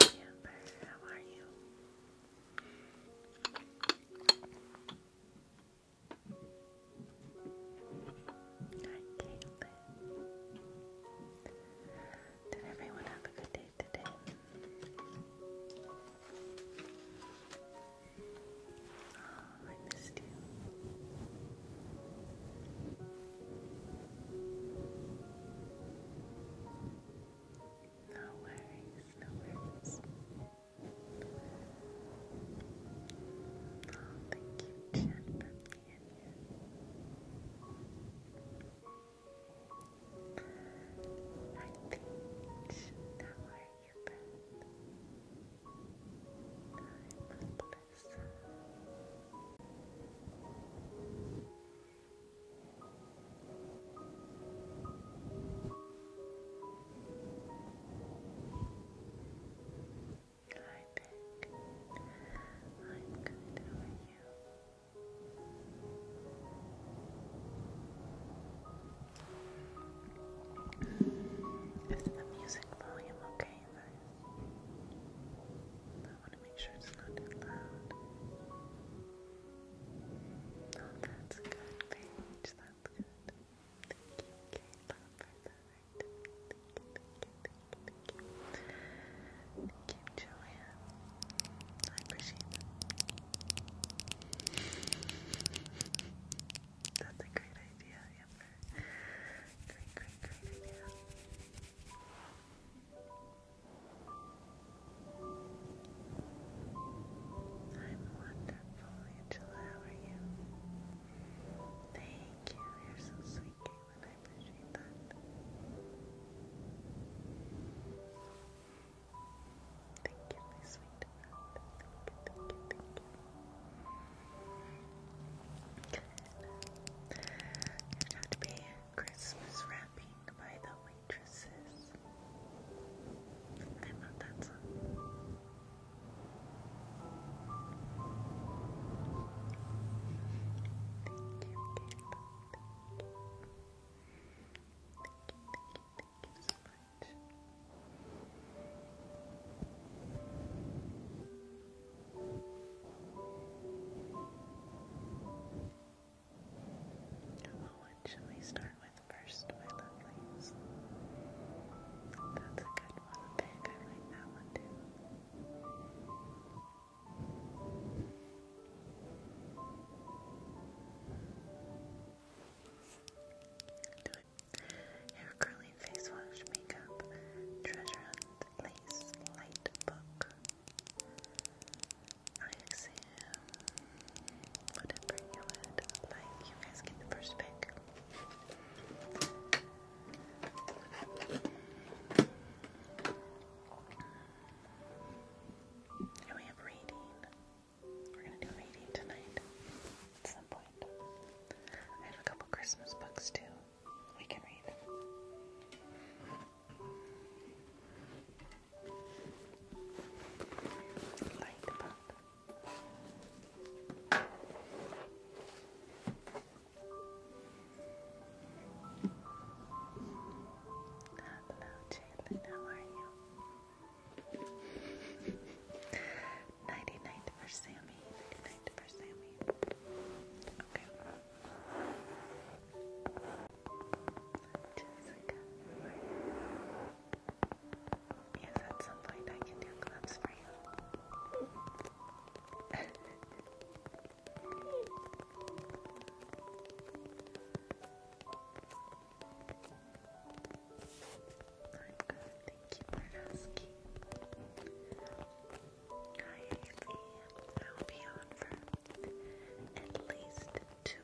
Amber, how are you? Did everyone have a good day today? Oh, I missed you. No worries, no worries. thank you, Jen, I think now are you back? I'm Melissa think I'm good. How are you? Is the music volume okay, guys? I want to make sure it's not too loud. Okay that's good, Thank you, Kayla, Thank you, thank thank you. Thank That's a great idea, Amber. Great, great, great idea. I'm wonderful, Angela. How are you? Thank you. You're so sweet, Caitlin. I appreciate that. Thank you, you, thank you, thank you. Good. to be Christmas wrapping by the way waitresses. I love that song. Thank you, Thank you. Thank you, so much. What oh, should we start with first, my lovelies? That's a good one. Pig, I like that one too. Hair curling, face wash, makeup, treasure hunt, lace, light book. I am. whatever you would You guys get the first pick. And we have reading. We're gonna do reading tonight at some point. I have a couple Christmas books too. We can read. Light Hello, Jalen. How are you? Nighty for Sammy. Nighty for Sammy. Okay. Yes, at some point I can do clubs for you. I'm good, thank you for asking. Hi, Haley. I'll be on for at least two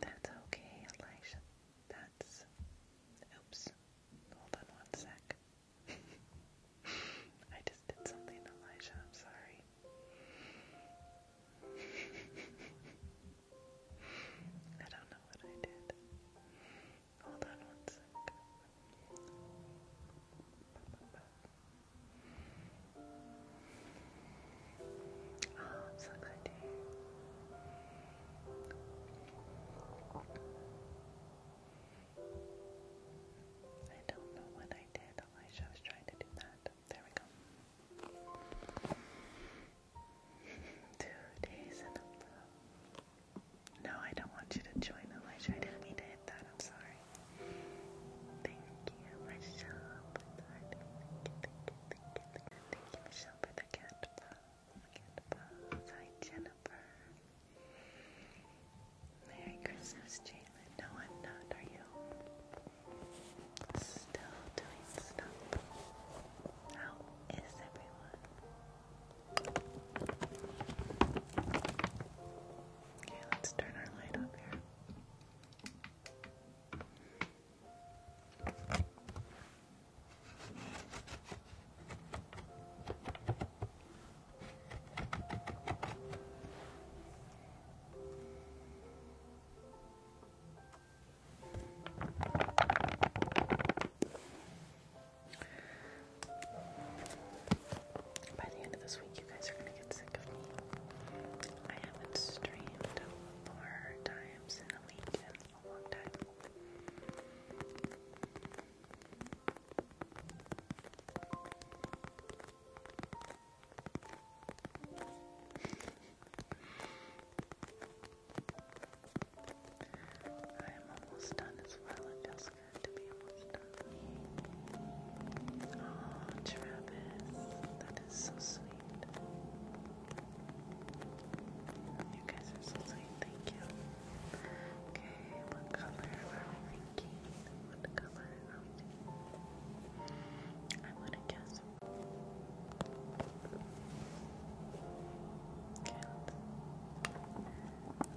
that's okay, Elisha. That's. Oops. Hold on one sec. I just did something, Elijah. I'm sorry. I don't know what I did. Hold on one sec. Oh, i I don't know what I did. Elijah was trying to do that. There we go. Two days in a row. No, I don't want you to join the wish. I didn't mean to hit that. I'm sorry. Thank you, Michelle, Thank you, thank you, thank you, Michelle, for the cat paws. Hi, Jennifer. Merry Christmas, Jalen. No, I'm not. Are you? Still doing stuff. How is everyone? Okay, let's turn our light up here. By the end of this week, you guys are gonna get sick of me. I haven't streamed more times in a week in a long time. I am almost done as well. It feels good to be almost done. Oh, Travis, that is so sweet. You guys are so sweet. Thank you. Okay, what color What color I want to guess. Okay,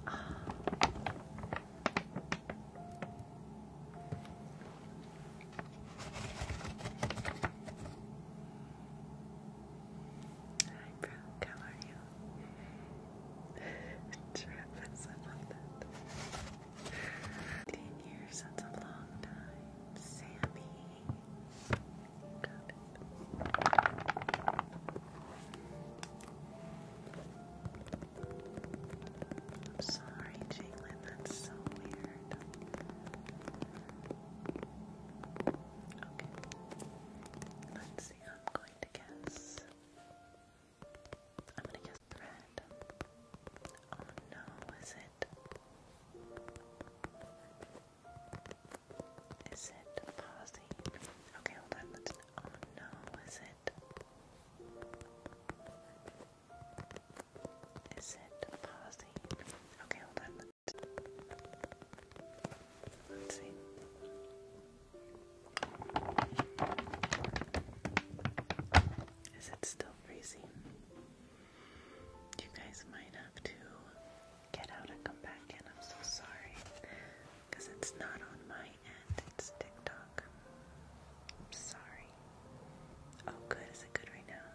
Hi, Brooke, how are you? Travis, I love a long time. Sammy. I'm sorry, Jinglin, that's so weird. Okay. Let's see, I'm going to guess. I'm gonna guess thread. Oh no, is it? Is it pausing? Okay, hold on, let's Oh no, is it? Is it pausing? Okay, hold on. Let's see. Is it still freezing? You guys might have to get out and come back in. I'm so sorry. Because it's not on my and it's TikTok. I'm sorry. Oh, good. Is it good right now?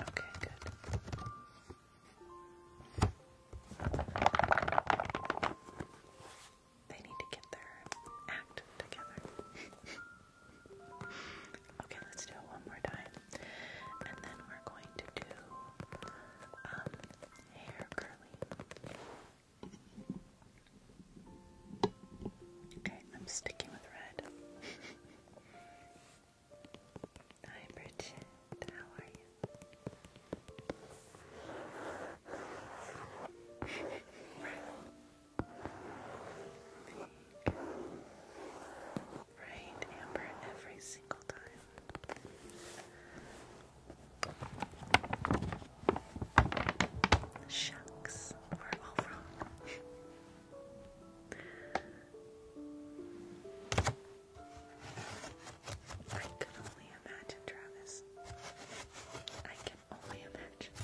Okay, good. They need to get their act together. okay, let's do it one more time. And then we're going to do um, hair curling. Okay, I'm sticking with red. Hi Bridget, how are you? right, Amber, every single time. Shucks, we're all wrong. I can only imagine, Travis. I can only imagine.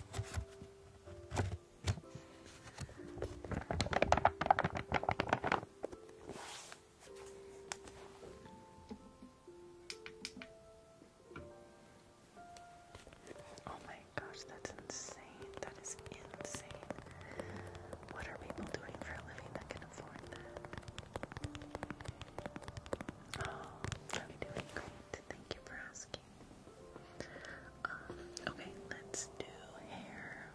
Oh my gosh, that's insane. That is insane. What are people doing for a living that can Oh, I'm doing great. Thank you for asking. Um, okay, let's do hair.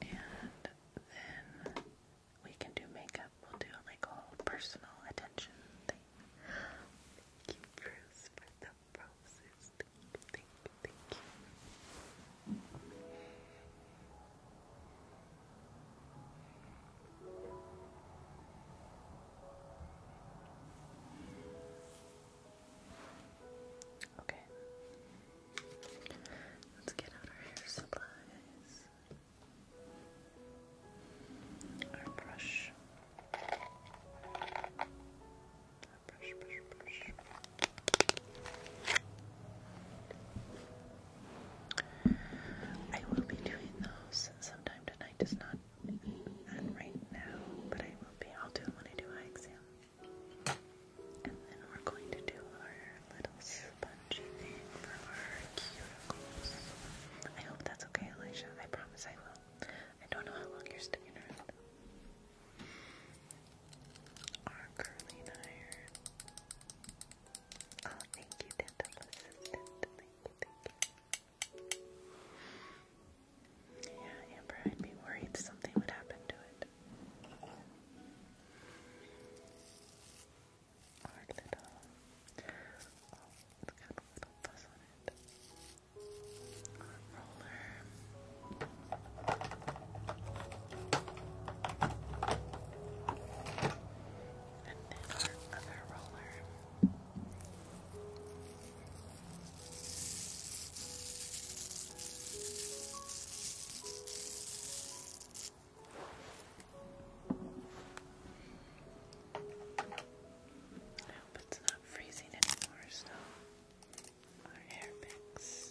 And then we can do makeup. We'll do like a whole personal attention Thank you, Bruce, for the roses. Thank thank thank you. Okay. Let's get out our hair supplies. Our brush. Our brush, brush, brush. I will be doing those sometime tonight. It's not on right now, but I will be. I'll do it when I do eye exam. And then we're going to do our little spongy thing for our cuticles. I hope that's okay, Elijah. I promise I will. I don't know how long you're sticking around. Our curling iron thank you, Yeah, Amber, I'd be worried something would happen to it. Our little, it's got a little fuzz on it. roller. And then I hope it's not freezing anymore, so our hair picks.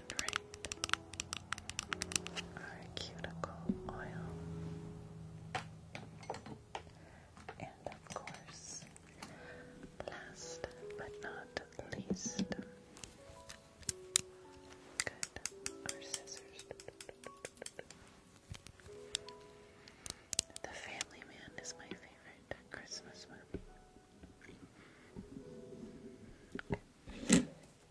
drink our cuticle oil. And of course, last but not least, good, our scissors. The Family Man is my favorite Christmas movie.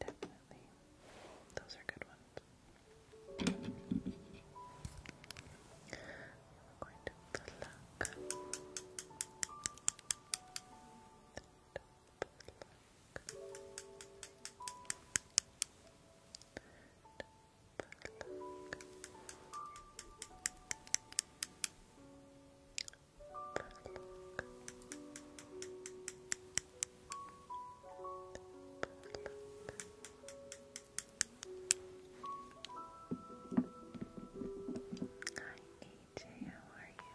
Definitely. Those are good ones. Hi AJ, how are you?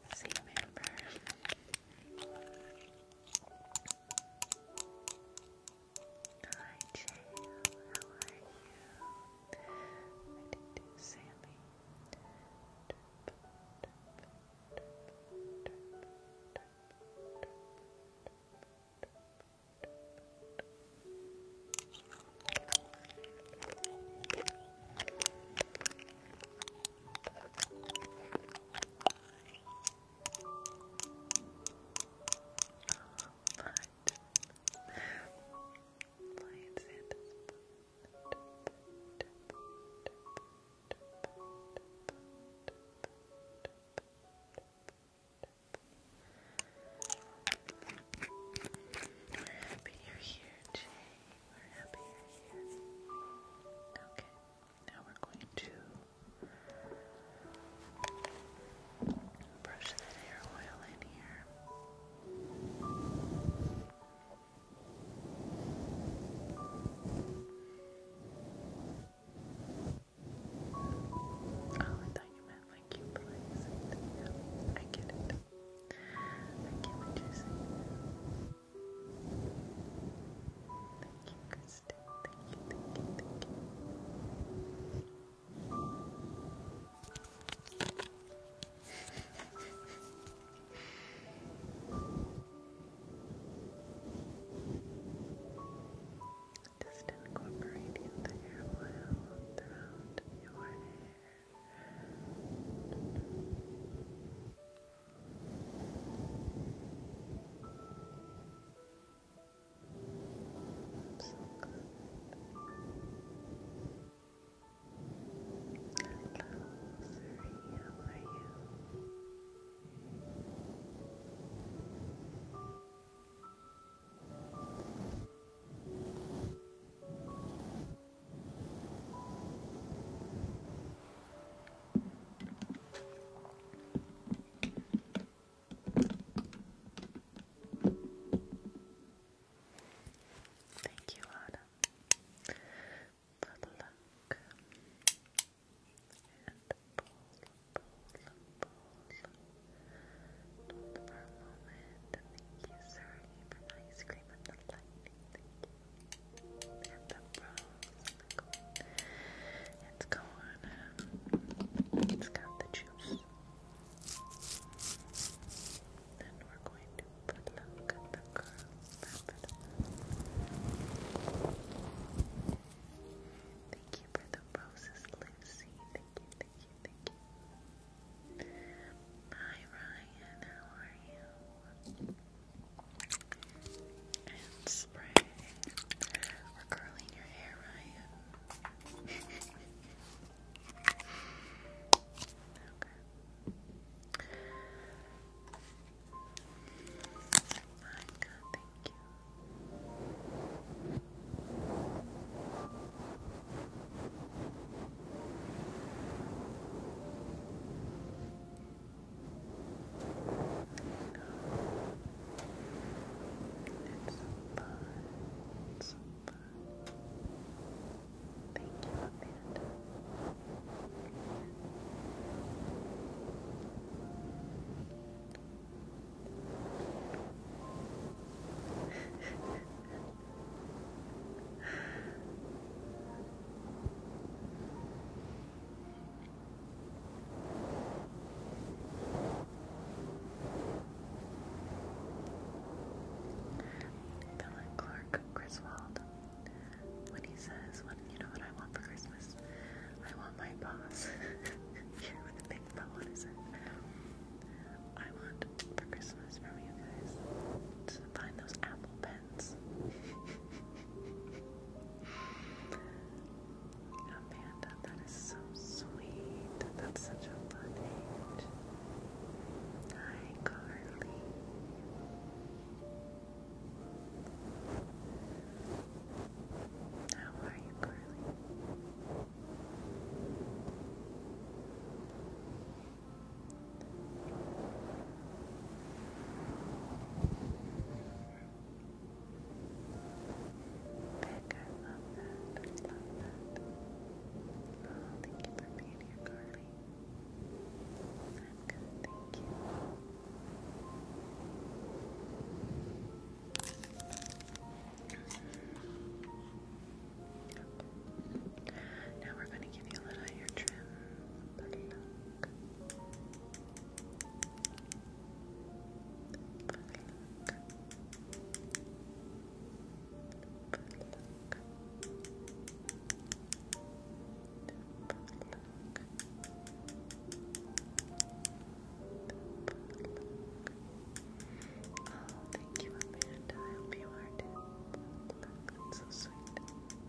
See Hi Jill, how are you? I did do Sammy. We're happy you're here, Jay we you Okay, now we're going to brush that hair oil in here. Oh, I thought you meant like you placed. Yeah, I get it. I get what you're saying. Thank you, Kristen. Thank you, thank you, thank you. Just incorporating the hair oil throughout your hair. So good. Hello, Siri, how are you? Hello, Thank you, Anna, for and pull, pull, pull. Not for Thank you, sorry, for ice cream and the light. And the It's got the juice. Then we're going to put look at the Thank you for the roses, Lucy. Thank you, thank you, thank you. Hi Ryan, how are you? And spray. We're curling your hair, Ryan. okay. My God, thank you. It's fun. It's fun. Thank you, Amanda. Philip Clark Griswold, when he says, "What you know what I want for Christmas? I want my boss." you with a big bow on I want for Christmas from you guys to find those apple pens. Amanda, that is so sweet. That's such a fun age. Hi, Carly. How are you, Carly? I love that. I love that. Oh, thank you for being here, Carly. thank you. Now we're going to give you a little hair trim thank you, Amanda. I hope you are too. so sweet.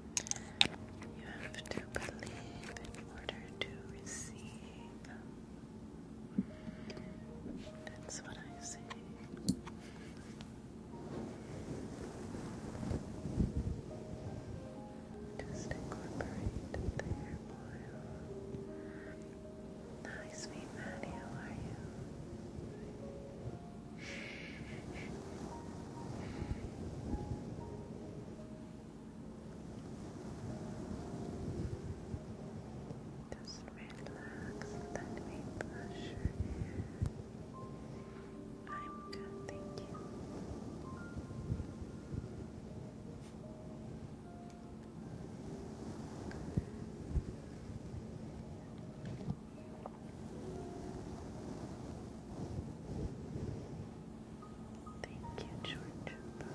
You have to believe in order to receive. That's what I say. Just incorporate the airfoil. Hi, sweet Maddie, how are you? Just relax, let me brush I'm good, thank you. Thank you, George. Okay. Look.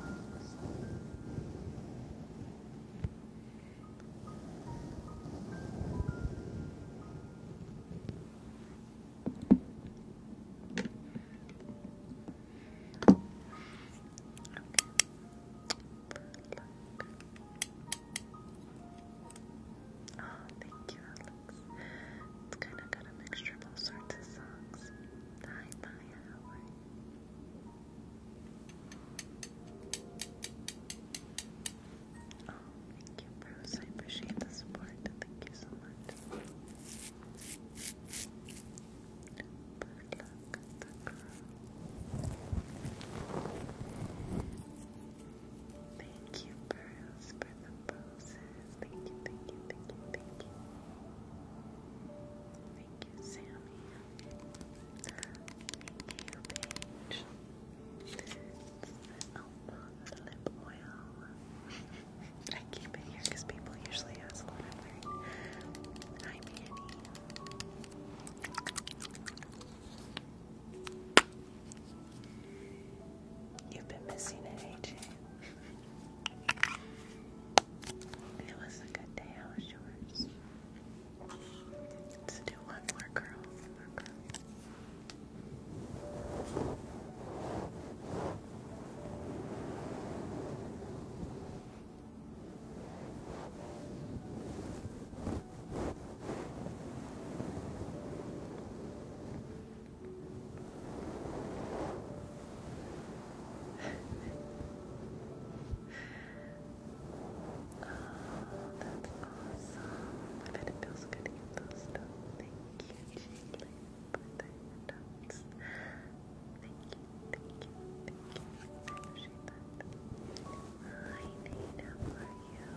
Oh, thank you, it's kind of got a mixture of all sorts of songs. Hi, Maya, how Oh, thank you, Bruce. I appreciate the support. Thank you so much. But look girl. Thank you, Bruce, for the poses. Thank you, thank you, thank you, thank you. Thank you, Sammy. Thank you, Paige. It's the Elba lip oil. I keep it here because people usually ask what I'm wearing. Hi, Manny. You've been missing it, AJ. It was a good day. How was yours? Let's do one more curl. One more oh, that's awesome. I bet it feels good to get those done. Thank you, Jaylee, for the Thank you, thank you, thank you. I appreciate that. how are you?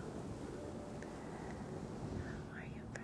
How are you,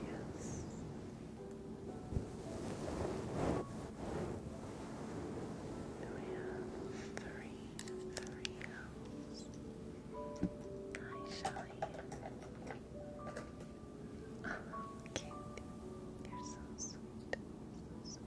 Yes. we have three, three owls. Hi, Shelly. Oh, uh-huh. cute. You're so sweet.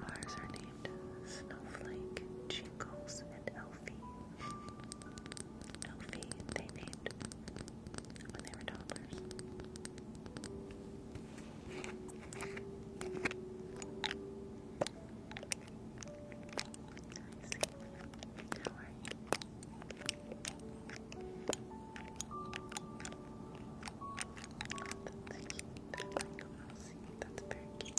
Ours are named Snowflake, Jingles, and Elfie. Elfie, they named when they were toddlers. That's cute. That's very cute. Thank you, Jamie, for being Thank you.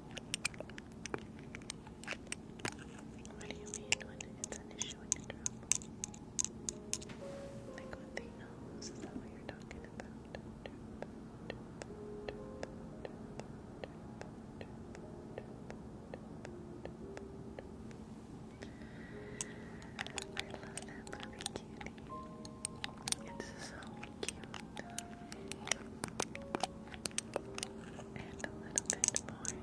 What do you mean it's an issue Like with is that what you're talking about? I love that movie, Cutie. It's so and a little bit more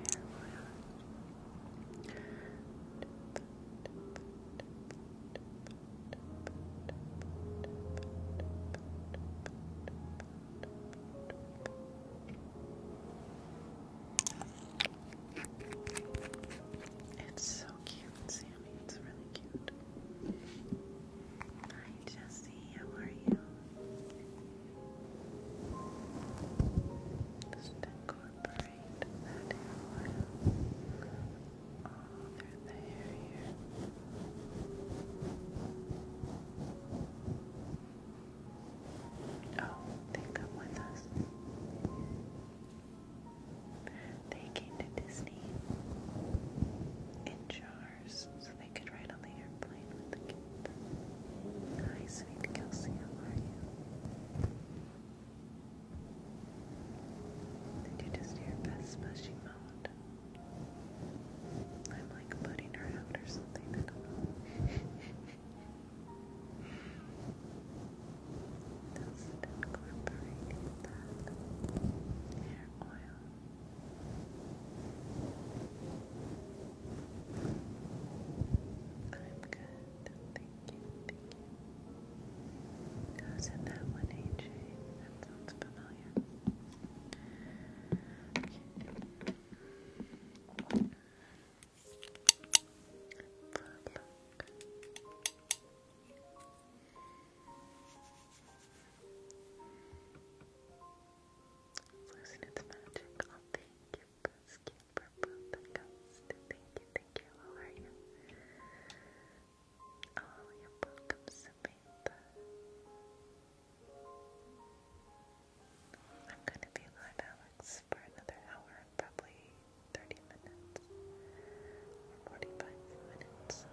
It's so cute, Sammy. It's really cute morning, Jesse. How are you? Just incorporate that hair oil all through the Oh, they come with us. They came to Disney in cars so they could ride on the airplane with the kid. Hi, sweet Kelsey, how are you? Did you just hear Beth splashing I'm like putting her out or something, I not hair oil. I'm good. Thank you. Thank you. was in that one, AJ. That sounds familiar. Okay. Plug. Losing its magic. thank you, Ghost Purple, Thank you, thank you. How Oh, you're welcome, Samantha. I'm gonna be live, Alex, for another hour probably 30 minutes 45 minutes.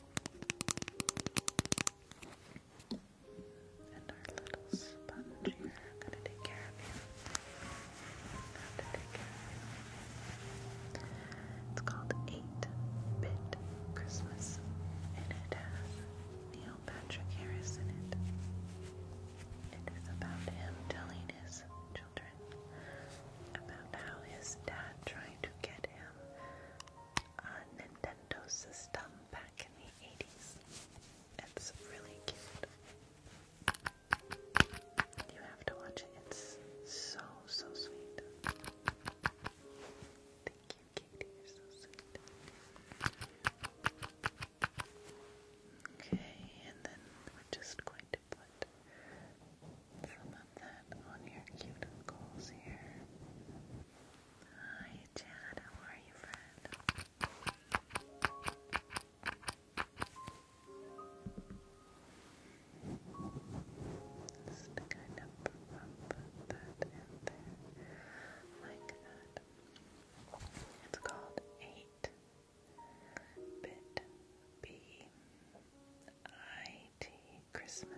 And our little sponge I'm gonna take care of you. It's called 8-Bit Christmas, and it Neil Patrick Harris in it. It is about him telling his children about how his dad tried to get him uh, Nintendo system back in the 80s. It's really cute. You have to watch it. It's so, so sweet. Thank you, Katie. You're so sweet. Okay, and then we're just going to put so put that on your cuticles here. Hi, Chad. How are you, friend? Just kind of put that in there, like that. It's called eight bit B I Mighty Christmas.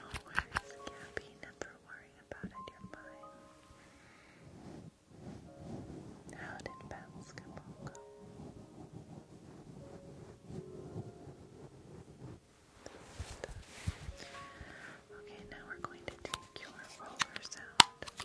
Always, Gabby, never worry about it, you're fine. How did basketball go? Okay, now we're going to take your roller sound.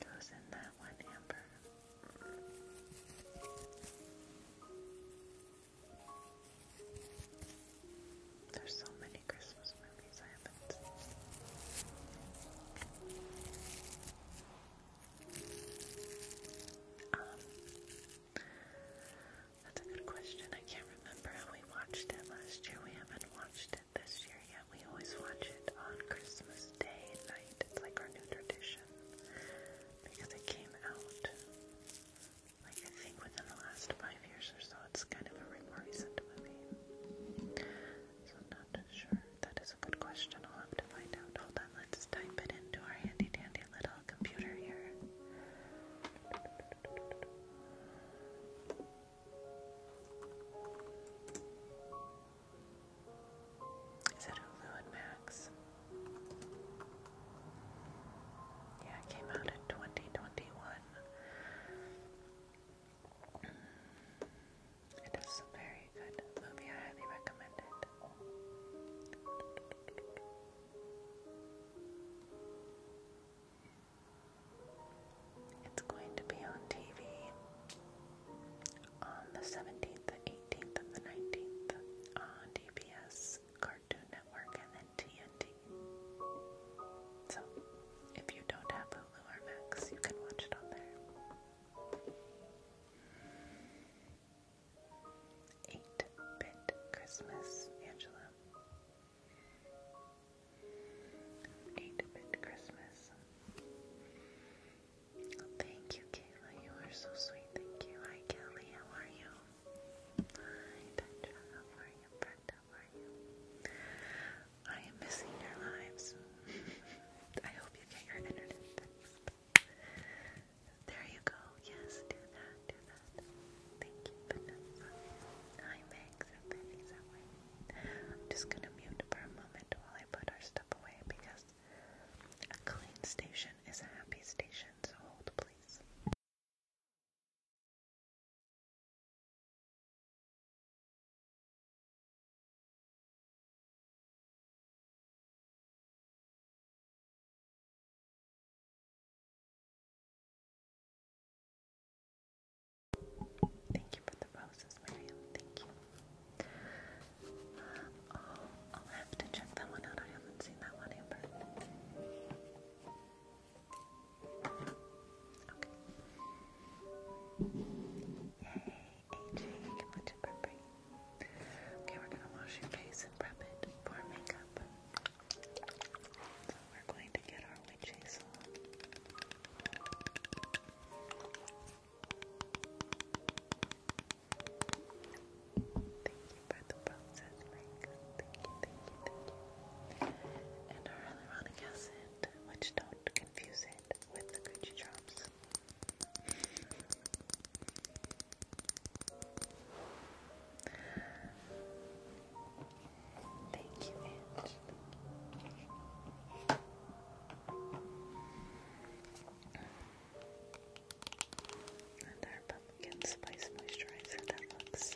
Goes in that one, Amber. There's so many Christmas movies I haven't seen. Um, that's a good question. I can't remember how we watched it last year. We haven't watched watched it this year yet. We always watch it on Christmas Day night. It's like our new tradition because it came out like I think within the last five years or so. It's kind of a recent movie. So I'm not sure. That is a good question. I'll to find out. Hold on, let's type it into our handy dandy little computer here. Is it Hulu and Max? Yeah, came out in 2021. It is a very good movie. I highly recommend it. It's going to be on TV on the 17th, 18th, and the 19th on DBS, Cartoon Network, and TNT. So, if you don't have Hulu or Max, you can watch it on there. 8-Bit Christmas, Angela. 8-Bit Christmas. Thank you, Kayla. You are so sweet. Thank you. Hi, Kelly. How are you? Hi, Petra. How are you? Brenda, how are you? I am missing your lives. I hope you get your internet There you go. Yes, do that. Do that. Thank you, Vanessa. Hi, Max. I'm just gonna mute for a while I put our stuff away because a clean station is a happy station, so hold please. Thank you for the Thank you. oh, I'll have to check that one out. I haven't seen that one, Amber. Okay. Yay, AJ, get much appropriate. Okay, we're gonna wash your face and prep it for makeup. So we're going to get our witch Thank you for the process, Mike. Thank you, thank you, thank you. And our hyaluronic acid, which don't confuse it with the Gucci drops. Thank you, Ange. And our pumpkin spice moisturizer that looks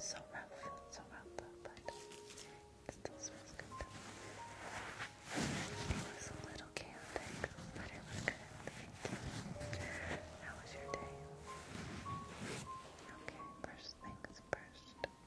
so rough, so rough, but it still smells good. It was a little chaotic, but it was good. Thank you. How was your day? Okay, first things first.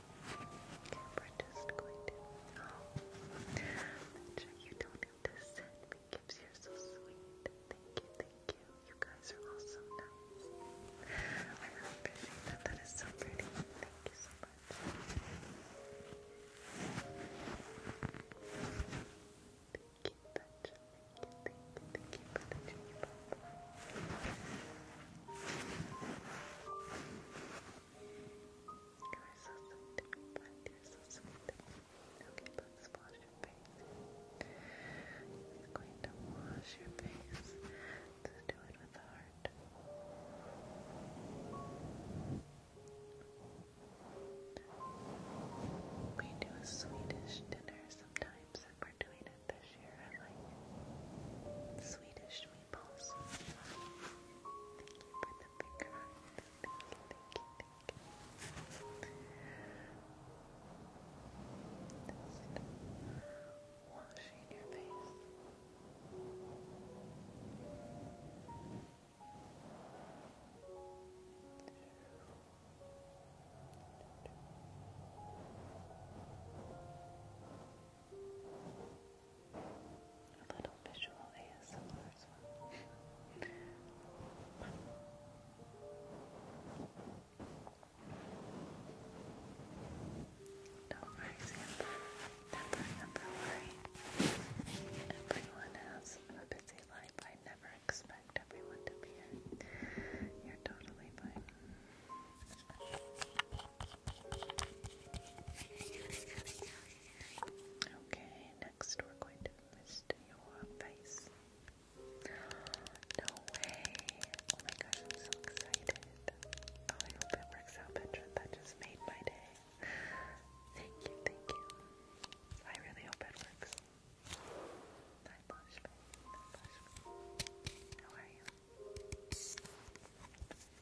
we're just going to oh, you don't have to send me gifts. You're so sweet. Thank you, thank you. You guys are all so nice. I really that. That is so pretty. Thank you so much. Thank you, Petra. Thank you, thank thank you for the dream. You're so sweet, you wash your face. I'm going to wash your face. let do it with heart. We do a Swedish dinner sometimes, we're doing this year. I like Swedish meatballs. Thank you for the big Thank you, thank you, thank you. washing your face. A little visual ASMR as well. Don't worry, Sam. Never, never worry. Everyone has a busy life. I never expect everyone to be in. You're totally fine. Okay, next we're going to mist your face. No way! Oh my gosh, I'm so excited. Oh, I hope it works out, That just made my day. Thank you, thank you. I really hope it works. How are you?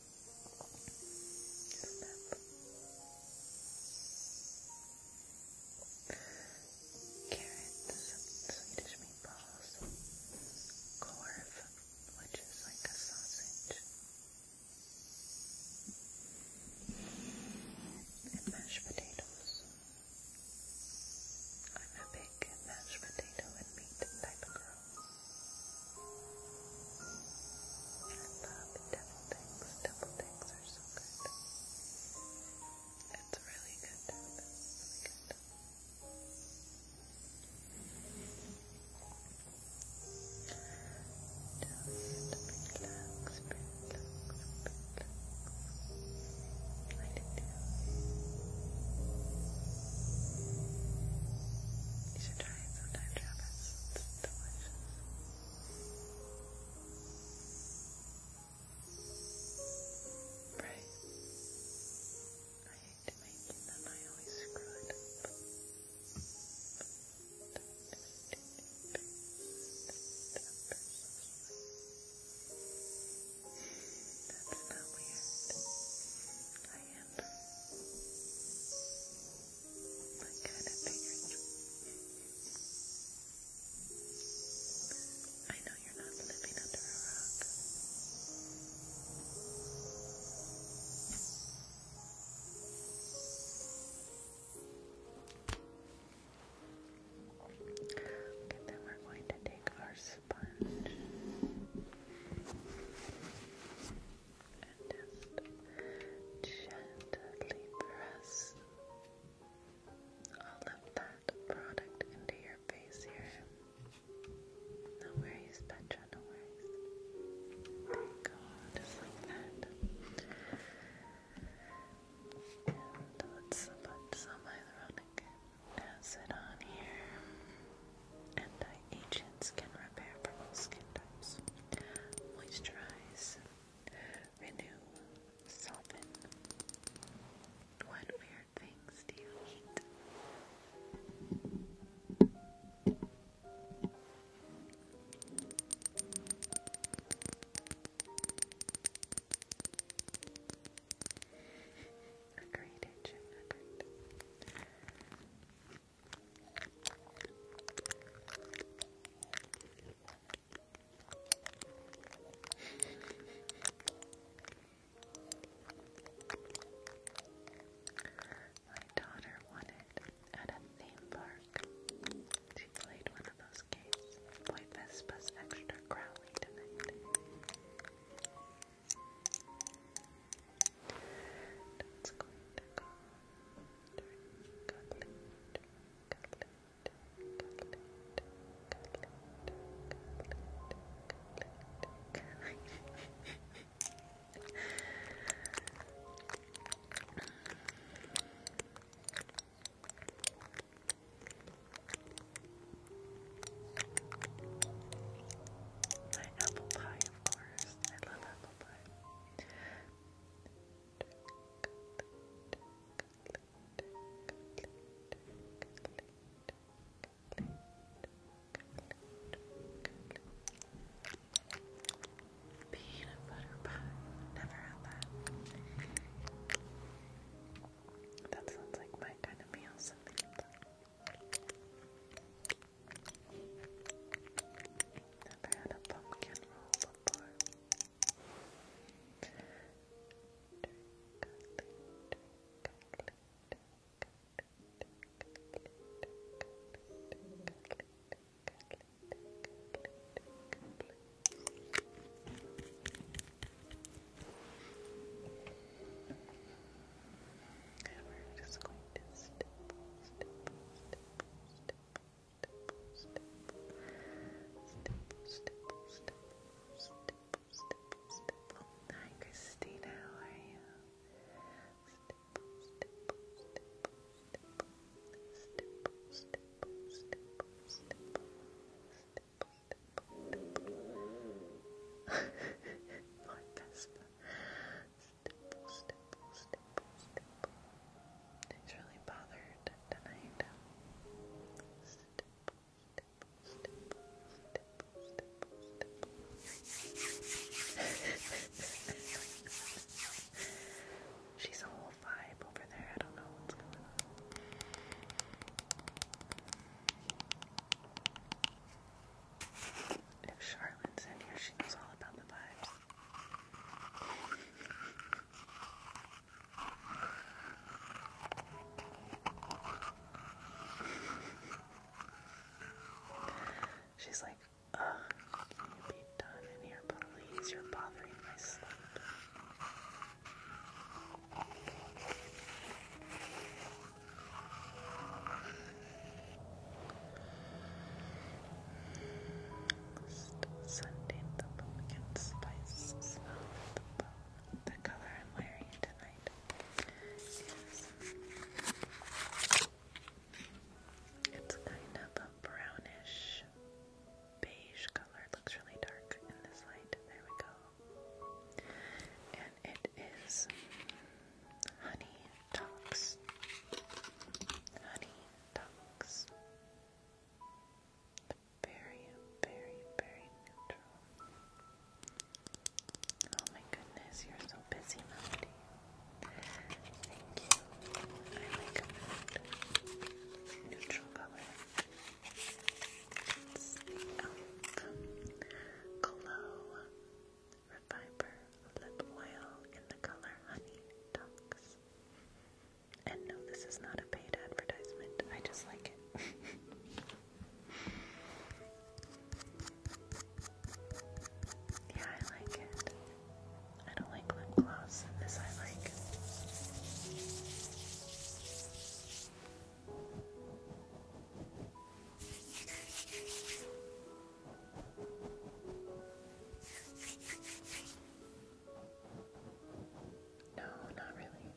Just up. Carrots, Swedish meatballs, korv, which is like a sausage, and mashed potatoes. I'm a big mashed potato and meat type of girl love devil things. Devil things are so good. It's really good really good. You should try it sometime, Travis. It's delicious. Right. I hate to make them, I always screw it up. That's not weird. I am. I know you're not living under a rock. Okay, then we're going to take our sponge and just gently press all of that product into your face here. No worries, Petra, no worries. There you go, just like that. And let's put some hyaluronic acid on here. Anti-agents can repair from all skin types, moisturize, Renew, soften. What weird things do you eat? Agreed, Agent. Agreed. My daughter won it at a theme park. She played one of those games. Boy extra growly tonight. That's going to go my apple pie, of course. I love apple pie. Peanut butter pie. Never had that. That sounds like my kind of meal, something Never had a pumpkin roll and we're just going to stipple, stipple, stipple, stipple, stipple, Hi, Christina, how are you? My best. He's really bothered tonight. She's a whole vibe over there. I don't know what's going on. If Charlotte's in here, she knows all about the vibes. She's like, uh, can you be done in here, please? You're bothering my sleep. List sending the pumpkin spice smell of the bone. The color I'm wearing tonight is it's kind of a brownish beige color. It looks really dark in this light. There we go. And it is honey talks. Honey talks very, very, very neutral. Oh my goodness, you're so busy, Melody. Thank you. I like a neutral color. It's the e.l.f. Glow Reviver Lip Oil in the color Honey Dunks. And no, this is not a paid advertisement. I just like it. yeah, I like it. I don't like lip gloss. This I like. No, not really.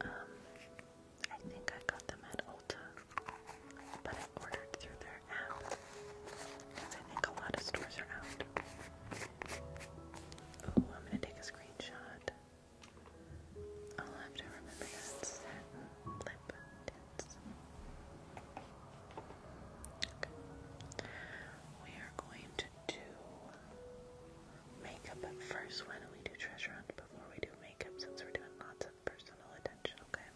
Um, I think I got them at Ulta, but I ordered through their app because I think a lot of stores are out. Ooh, I'm gonna take a screenshot. I'll have to remember that satin lip tints. Okay. We are going to do makeup first. Why don't we do treasure hunt before we do makeup since we're doing lots of personal attention, okay?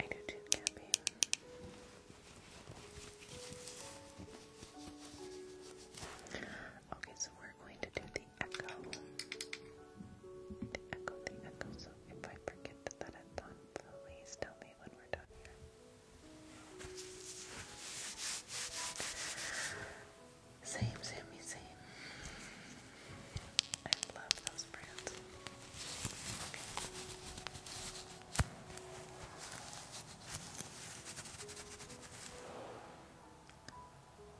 I do too, Gabby. Okay, so we're going to do the echo. The echo, the echo. So if I forget that I'm please tell me when we're done Same, Sammy, same. I love those brands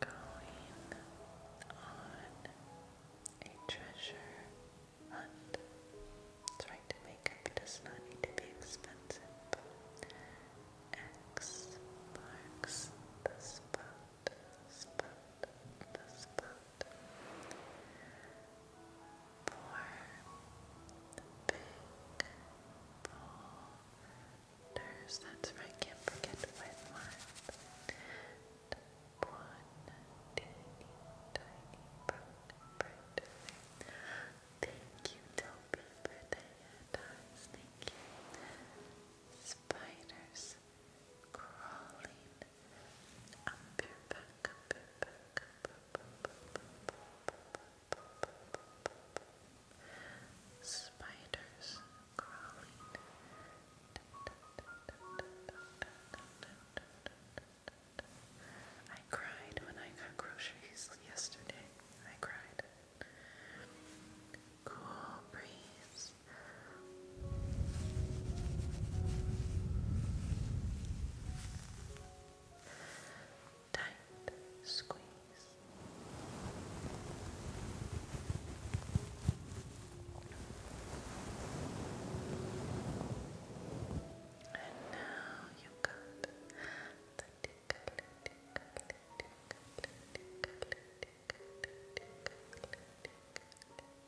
going on a treasure hunt. It's to make up, to be expensive. X marks the spot, spot, the spot. For the big ball there's that's right, can't forget to wet wipe. One tiny, tiny brown bright thing. Thank you, Toby, for the hand eyes. Thank you. Spiders crawling up your back, up your back, up, up, up, up, up, up, up, up, Spiders crawling. I cried when I got groceries yesterday. I cried. Cool breeze tight squeeze. And now you got the tickle, tickle, tickle, tickle, tickle, tickle,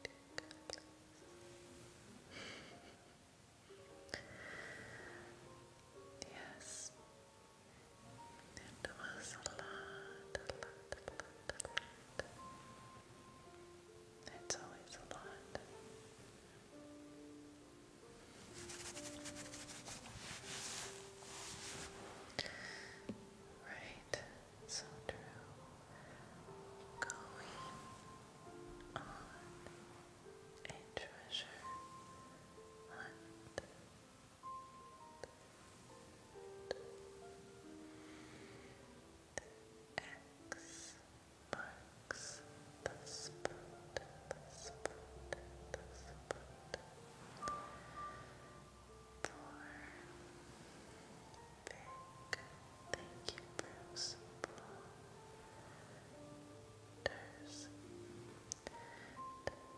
tickle. Yes, it was a lot, It's always a lot. Right, so true. Going on a treasure hunt. X marks the spot, the spot, the spot for big, thank you Bruce, There's.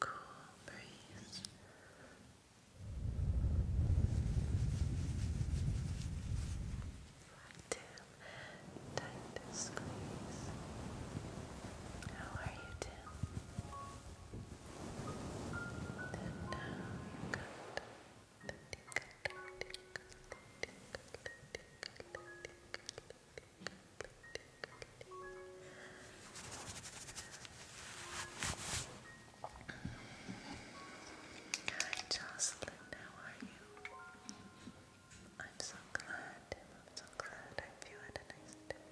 Cool breeze. Right Tim, tight to squeeze. How are you, Tim? Then now you're good. Hi Jocelyn, how are you? I'm so glad, I'm so glad. I hope you had a nice day.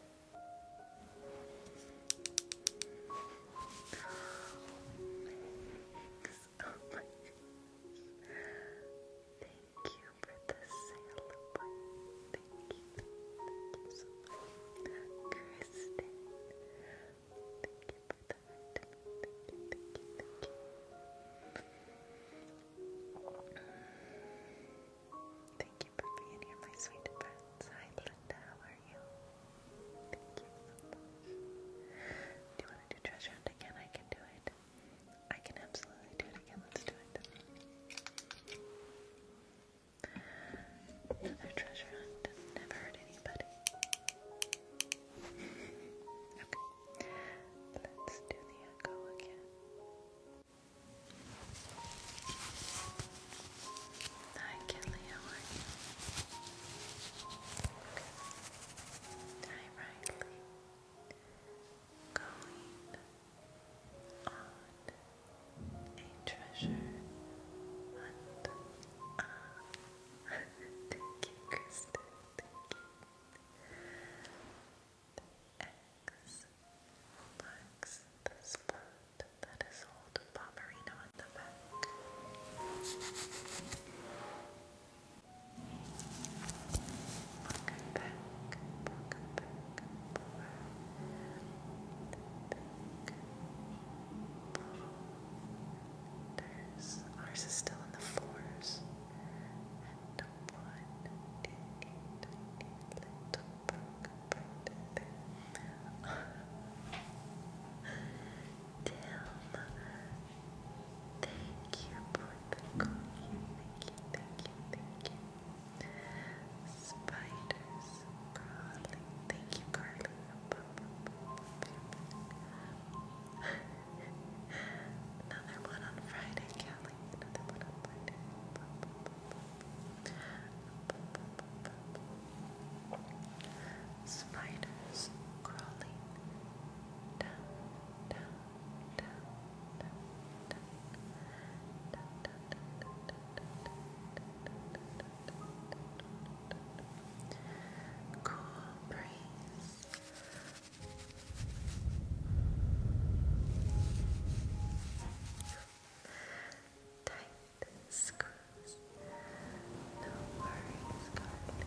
Thanks. Thank you for the celebrate. Thank thank you Kristen, thank you for being here, my sweet friends. Hi, Linda, how are you? Thank you Do you want to do treasure hunt again? I can do it. I can absolutely do it again. Let's do it. Another treasure hunt. Never hurt anybody. okay. Let's do the echo again. Hi, Kelly. Hi, Riley going on a treasure hunt. Ah. Thank you, The X marks spot that is old Bomberino on the back. Welcome back, welcome back, There's, ours is still in the fours. And one tiny, tiny little broken bird there. Dill. Thank you for the coin. Thank you, thank you, thank you. Spiders crawling. Thank you, Carly. Another one on Friday, Kelly. Another one on Friday. Spiders crawling Cool breeze. Tight squeeze. No worries, guarded.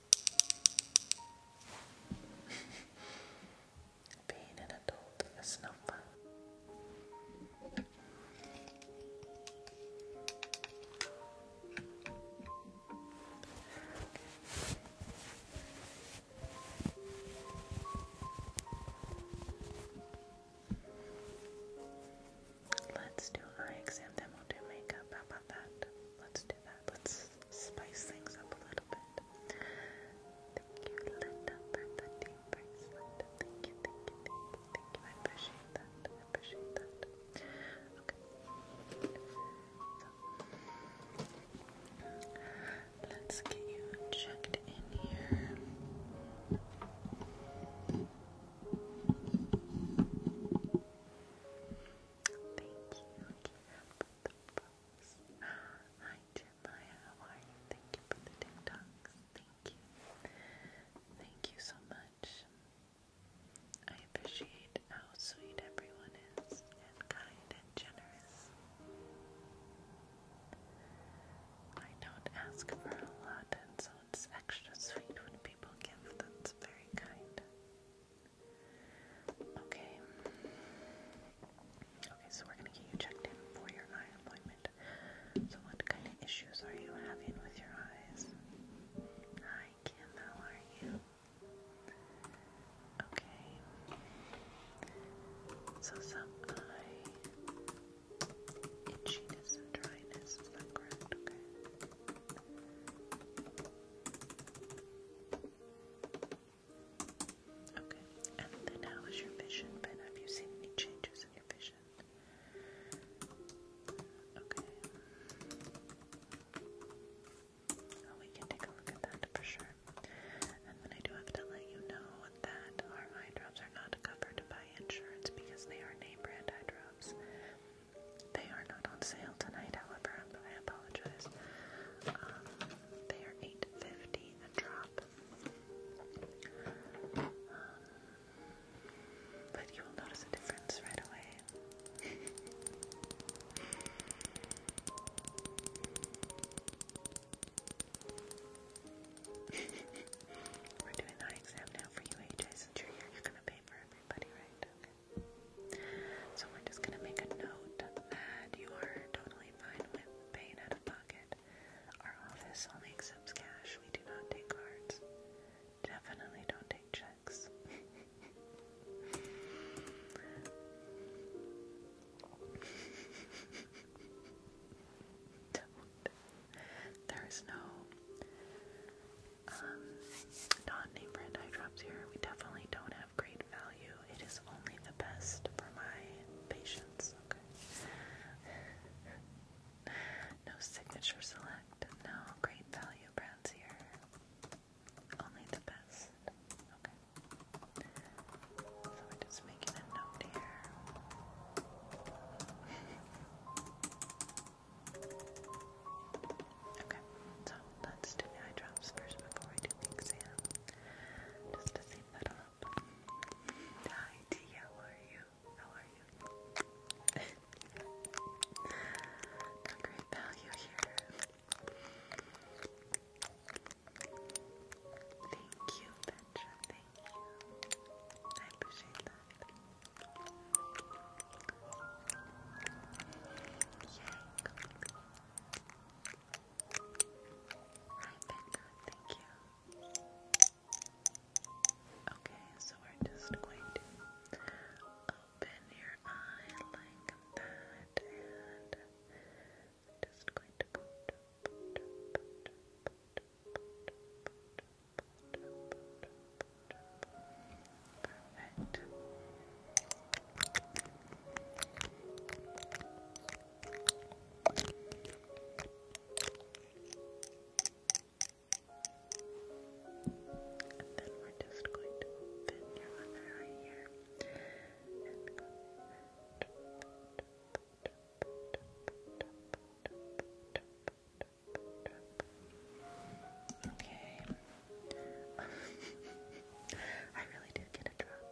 Being an adult is no fun. Let's do eye exam, then we'll do makeup. Let's do that. Let's spice things up a little bit. Thank you, Linda, for the team bracelet. Thank you, thank you, thank you, thank you. I appreciate that. I appreciate that. Okay. So, let's get you checked in here. Thank you. Put the rose. Hi, Jeremiah. How are you? Thank you for the TikToks. Thank you. Thank you so much. I appreciate how sweet everyone is and kind and generous. I don't ask for a lot, and so it's extra sweet when people give. That's very kind. Okay. Okay, so we're going to get you checked in for your eye appointment. So, what kind of issues are you having with your eyes? Hi, Kim, are you? Okay. So, some eye itchiness and dryness, correct? Okay. Okay, and then how is your vision been? Have you seen any changes in your vision? Okay. Well, oh, we can take a look at that for sure. And then I do have to let you know that our eye drops are not covered by insurance because they are name brand eye drops. They are not on sale tonight, however, I apologize. Um, they are eight fifty a drop. Um, but you will notice a difference right away. We're doing eye exam now for you, AJ. Since you're here, you're gonna pay for everybody, right? So we're just gonna make a note that you are totally fine with paying out of pocket. Our office only accepts cash. We do not take cards. Definitely don't take checks. is no um, non-name brand eye here. We definitely don't have great value. It is only the best for my patients. Okay. no signature select. No great value brands here. Only the best. Okay. So we're just making a note here. Okay, so let's do the eye drops first before we do the exam. Just to save that up. Hi T, how are you? How are you? great value here. Thank you, Petra, thank you. I appreciate that thank you. Okay, so we're just going to open your eye like that, and I'm just going to Perfect. And then we're just going to open your other eye here Okay, I really did get a drop.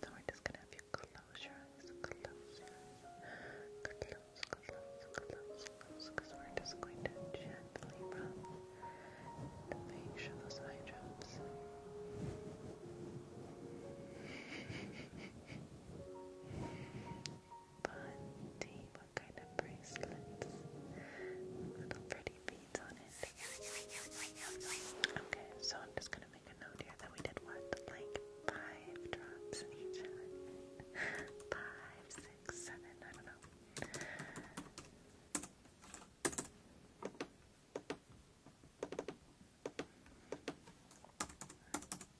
So we're just gonna have you close your eyes, close your eyes, close, close, close, close, because we're just going to gently rub to make sure those eye drops. Bunty. What kind of bracelets? Little pretty beads on it. Okay, so I'm just gonna make a note here that we did what? Like five drops each other. five, six, seven, I don't know.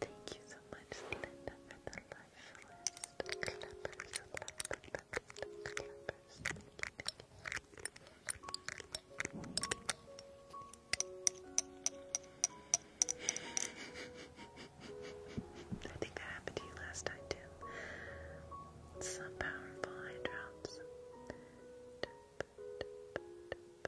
Thank you so much, Linda, for the life list. I think that happened to you last time, too. Some powerful eye drops.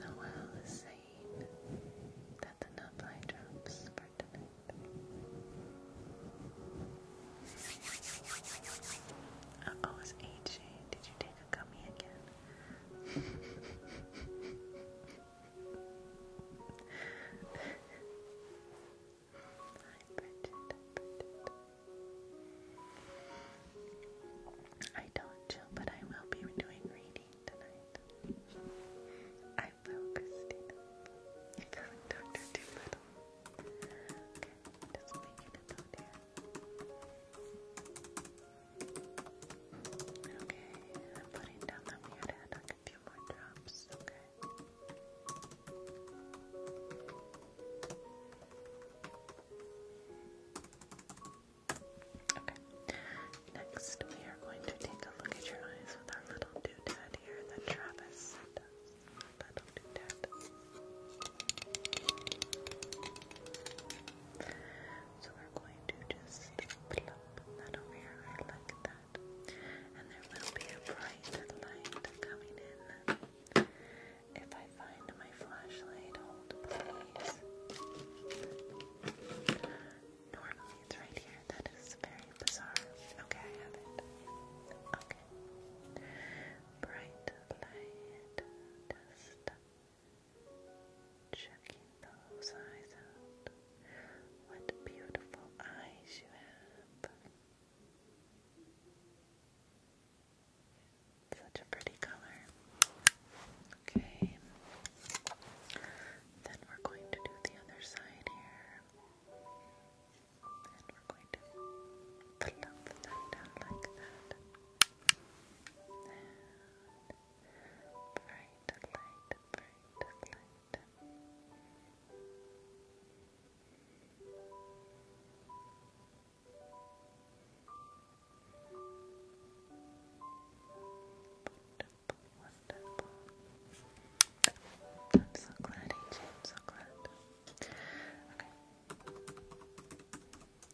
Noel is saying that's enough eye drops for oh, it's AJ. Did you take a gummy again? I don't chill, but I will be doing reading tonight. I will, Christina. You're Dr. Doolittle. Okay, I'm putting down that weird head like a few more drops, Okay. Okay. Next, we are going to take a look at your eyes with our little doodad here that Travis So we're going to just plop that over your eye like that. And there will be a bright light coming in find my flashlight? please. Normally it's right here. That is very bizarre. Okay, I have it. Okay. Bright light. checking those eyes out. What beautiful eyes you have. Such a pretty color. Okay. Then we're going to do the other side here. And we're going to plump that down like that. bright light, bright light. Wonderful, wonderful. I'm so glad, I'm so glad. Okay.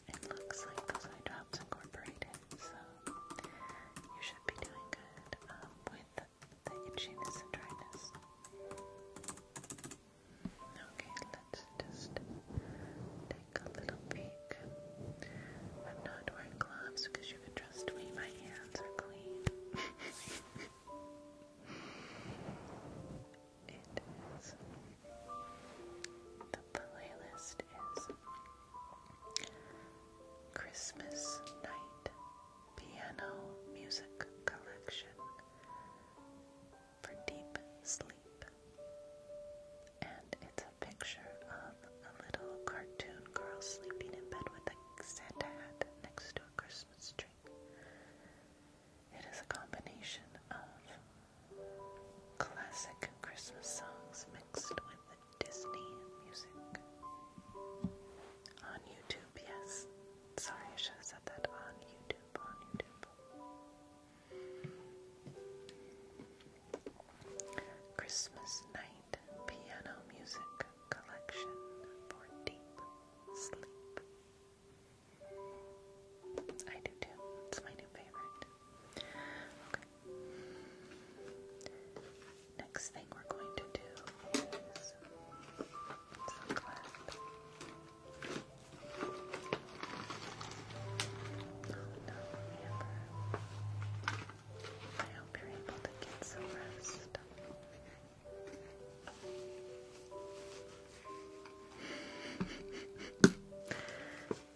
It looks like those eye drops incorporated, so you should be doing good with the itchiness and dryness. Okay, let's just Take a little peek. I'm not wearing gloves because you can trust me, my hands are clean. it is. The playlist is Christmas Night Piano Music Collection for Deep Sleep. And it's a picture of a little cartoon girl sleeping in bed with a Santa hat next to a Christmas tree. It is a combination of classic Christmas songs mixed with Disney music. On YouTube, yes. Sorry, I should have said that. On YouTube, on YouTube. Christmas Night Piano Music Collection for Deep Sleep. I do too. It's my new favorite. Okay. Next thing we're going to do is some clap don't remember. I hope you're able to get some rest.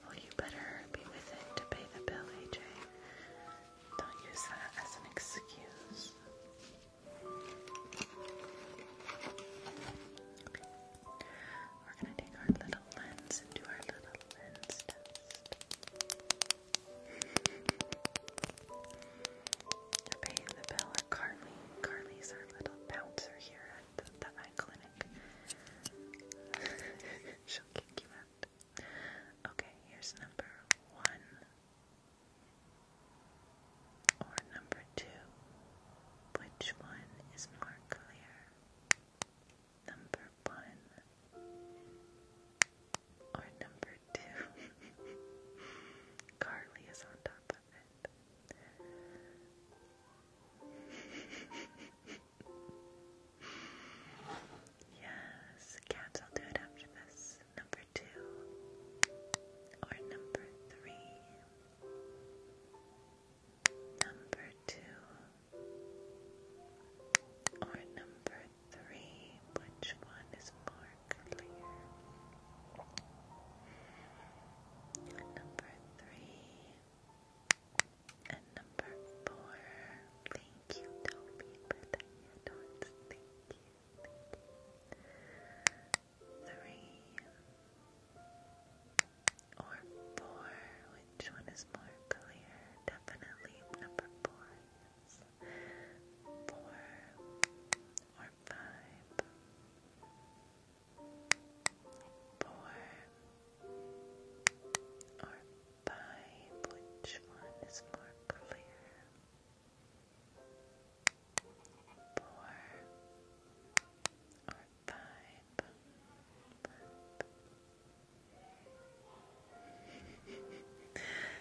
well, you better be with it to pay the bill, AJ. Don't use that as an excuse. We're gonna take our little little lens do our little lens test. you the bill or Carly. Carly's our little bouncer here at the eye clinic. She'll kick you out. Okay, here's number one. Or number two. Which one is more clear? number one or number two. Carly is on top of it. yes, cats, I'll do it after this. Number two or number three. Number two or number three, which one is more clear? Number three and number four. Thank you, Toby, for the handles. Thank you, you. Three or four? Which one is more clear? Definitely number four. Four or five. Four or five. Which one is more clear? Four or five.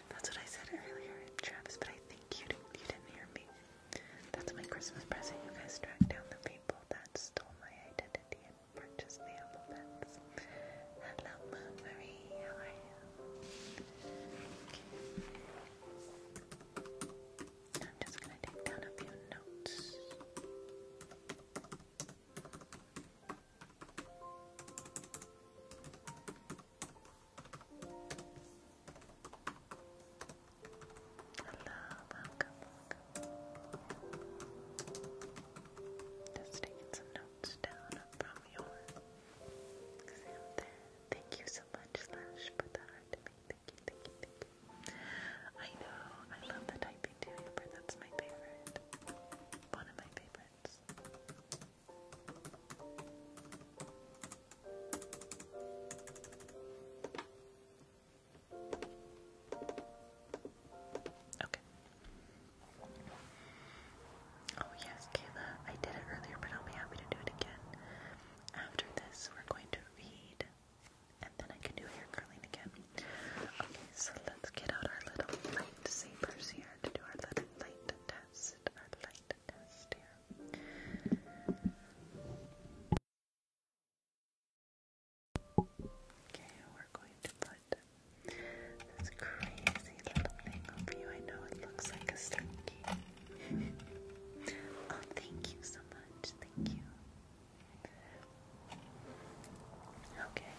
That's what I said earlier, Travis, but I think you you didn't hear me. That's my Christmas present. You guys tracked down the people that stole my identity and purchased the alphabets. Hello, Marie. I'm just gonna take down a few notes welcome, welcome. Just taking some notes down from your Thank you so much, Slash, for the heart to me. Thank you, thank you, I know, I love the type Big Teddy that's my favorite. One of my favorites. Okay. Oh, yes, Kayla, I did it earlier, but I'll be happy to do it again. After this, we're going to read, and then I can do hair curling again. Okay, so let's get out our little light sabers here to do our little light test. Our light test here. Okay, we're going to put this crazy little thing over you. I know it looks like a slinky. oh, thank you so much. Thank you. Okay,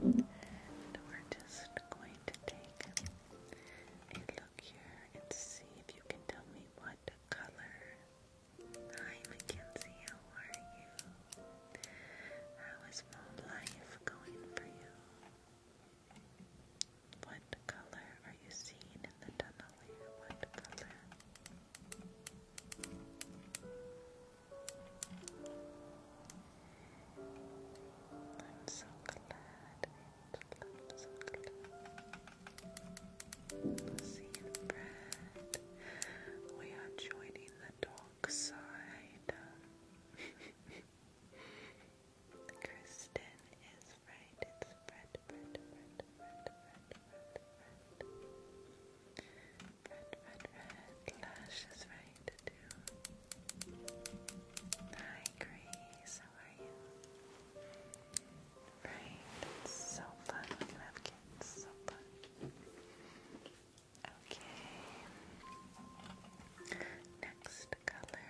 we're just going to take a look here and see if you can tell me what color. Hi, Mackenzie, how are you? How is mom life going for you? What color are you seeing in the tunnel What color? I'm so glad. I'm we are joining the dark side. Kristen is right. It's red. Red, red, red Hi, Grace, how are you? Right, so fun when you have kids, so fun. Okay, next color.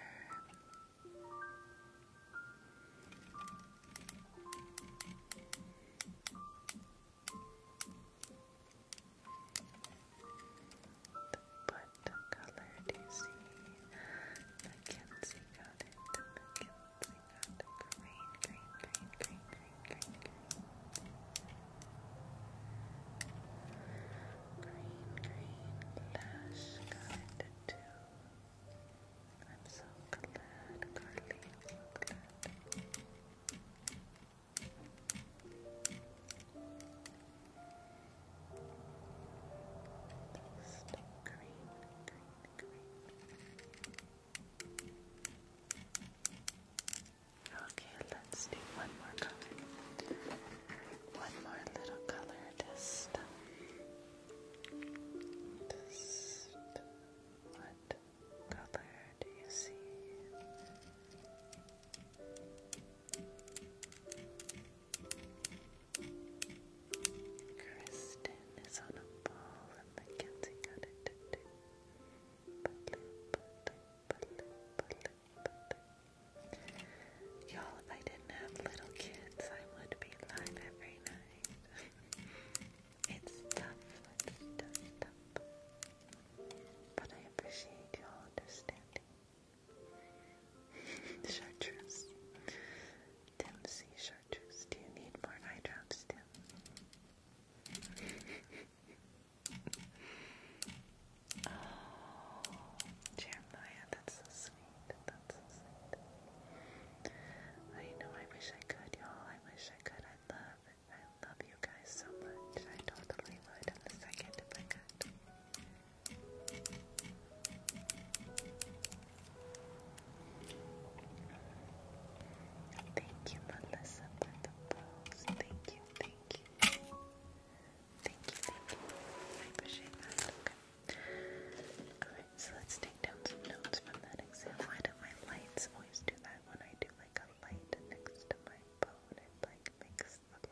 What color do you see? Mackenzie got it. Mackenzie got it. Green, green, green, green, green, green, green. Green, green. Lash got too. I'm so glad, Carly. I'm Taste Okay, let's do one more color. One more little color just what color do you see? Kristen is on a ball and Mackenzie got it to do. Y'all, if I didn't have little kids, I would be live every night. it's tough. But I appreciate your understanding. chartreuse. Tim Chartreuse. Do you need more eye Tim? oh, Jeremiah, that's so sweet. That's so sweet. I know, I wish I could, y'all. I wish I could. I love I love you guys so much. I totally would in a second if I could. Thank you, Melissa, for the post. Thank you, thank you. Thank you, thank you. I appreciate that. Okay. Alright, so let's take down some notes from that exam. Why do my lights always do that when I do like a light next to my phone? It like makes we go.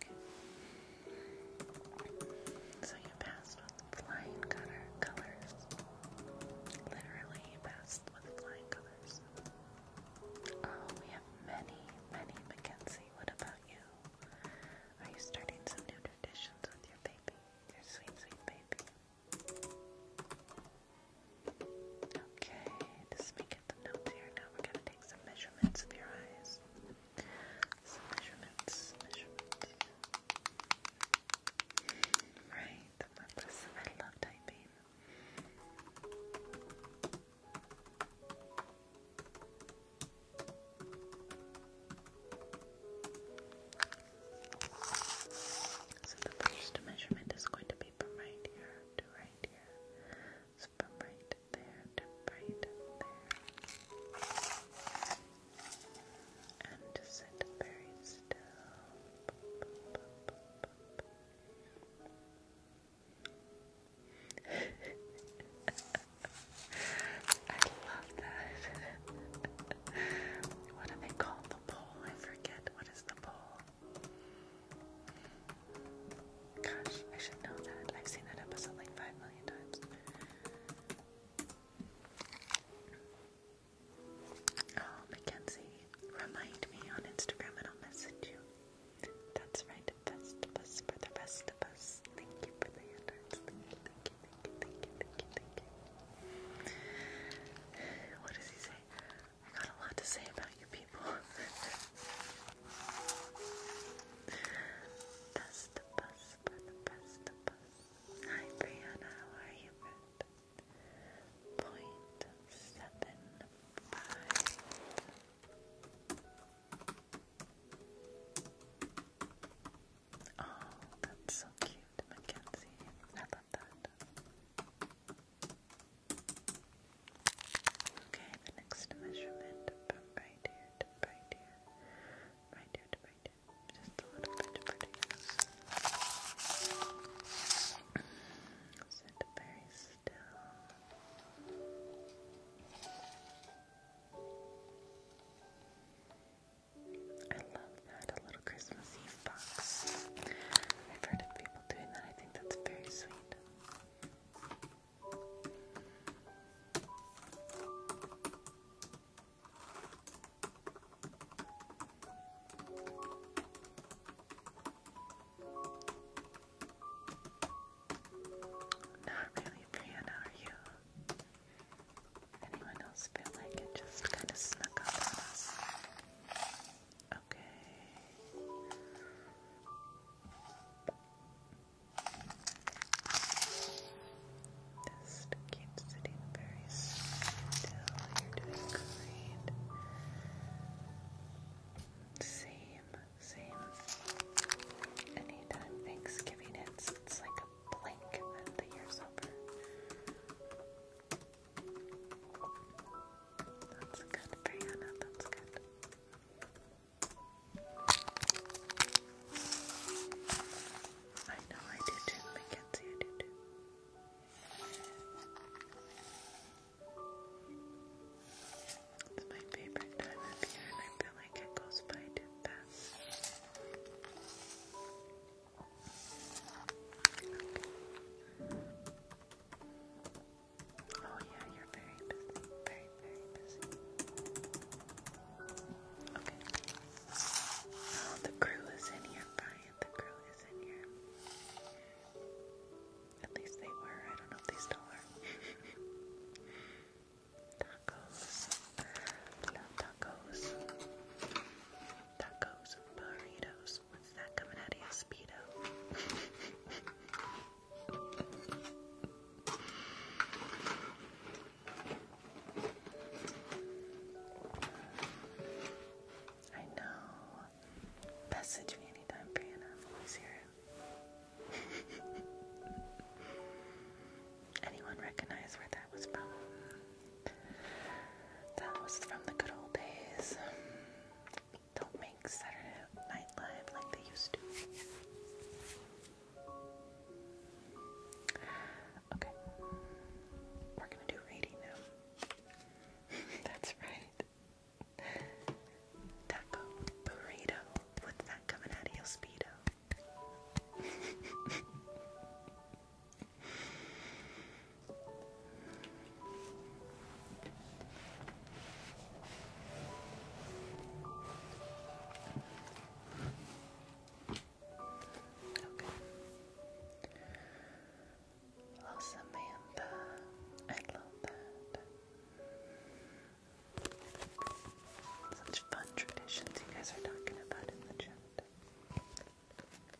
Okay. So you passed with flying colors. Literally, passed with flying colors. Oh, we have many, many Mackenzie. What about you? Are you starting some new traditions with your baby? Your sweet, sweet baby. Okay, just making some notes here. Now we're going to take some measurements of your eyes. Some measurements, Right, I love typing. So the first measurement is going to be from right here to right here. So from right there to right there. And just sit very still. I love that. what do they call the pole? I forget. What is the pole? Gosh, I should know that. I've seen that episode like five million times. Oh, Mackenzie, remind me on Instagram and I'll message you. That's right, Festivus for the rest of us. Thank you for the interest. thank you, thank you, thank you, thank you, thank you. What does he say? I got a lot to say about you people. Hi Brianna, how are you, Oh, that's so cute, Mackenzie. I that. Okay, the next measurement right here right here, right here right here, just a little bit of produce. Sit very still. I love had a little Christmas Eve box. I've heard of people doing that. I think that's very sweet. Not really, Brianna, are you? Anyone else feel like it just kind of snuck up on us? Okay. Just keep sitting very still. You're doing great. Same, same. Anytime Thanksgiving hits, it's like a blink and the year's over. That's good, Brianna. That's good. I know I do too, Mackenzie. I do too. It's my favorite time of year, and I feel like it goes by too fast. Oh yeah, you're very very, very busy. Okay. Oh, the crew is in here, Brian. The crew is in here. At least they were. I don't know if they still are. tacos. Love tacos. Tacos, burritos, What's, that coming out of your speedo? I know. Message me anytime, Brianna. i here. Anyone recognize where that was from? That was from the good old days don't make Saturday Night Live like they used to. Okay, we're gonna do rating now. That's right. Taco burrito with that coming out of your speedo. Okay. Oh, I love that. Such fun traditions you guys are talking about in the chat. We're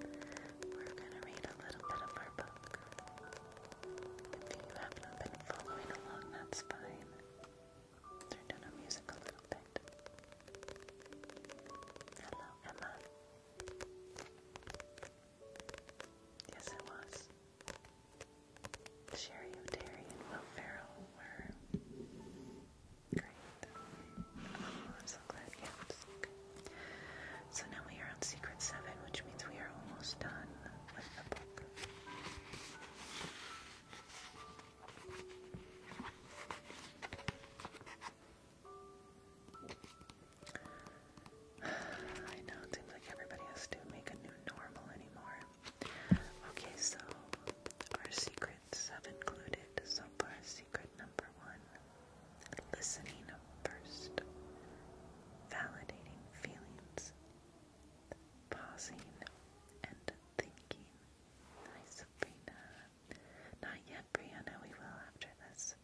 going to read a little bit of our book. If you have not been following along, that's fine. Turn down our music a little bit. Hello, Emma. Yes, it was. Sherry O'Terry and Will Ferrell were great so now we are on Secret 7, which means we are almost done with the book. I know, it seems like everybody has to make a new normal anymore. Okay, so our secret seven included. So far, secret number one listening first, validating feelings, pausing and thinking. Nice, Sabrina. Not yet, Brianna. We will after this.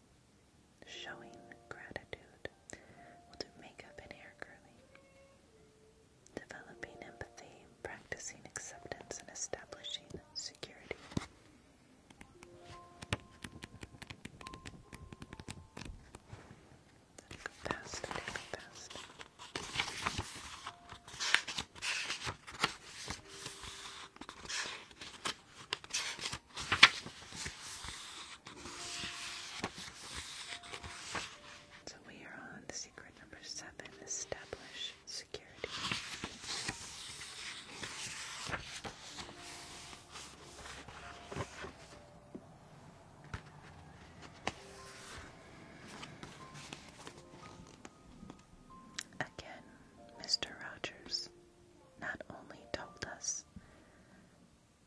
Showing gratitude. We'll do makeup and hair curling. Developing empathy, practicing acceptance, and establishing security. So we are on secret number seven, establish security. Again, Mr. Rogers not only told us,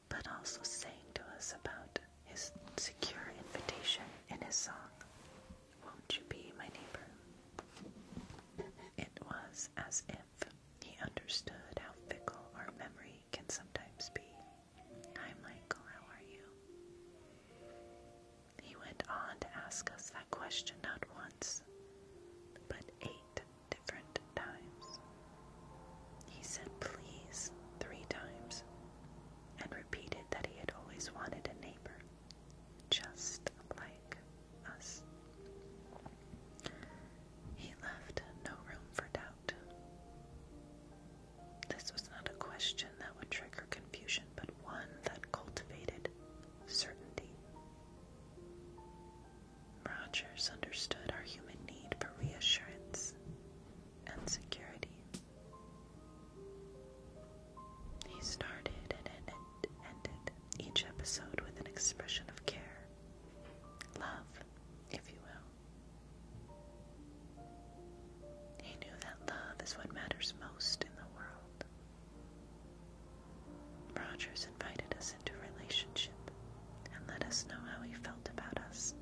but also sang to us about his secure invitation in his song, Won't You Be My Neighbor? It was as if he understood how fickle our memory can sometimes be. Hi, Michael, how are you? He went on to ask us that question not once, but eight different times. He said, please, three times, and repeated that he had always wanted a neighbor just like us. He left no room for doubt. This was not a question that would trigger confusion, but one that cultivated certainty. Rogers understood our human need for reassurance and security. He started and ended ended each episode with an expression of care, love, if you will. He knew that love is what matters most in the world. Rogers invited us into relationship and let us know how he felt about us.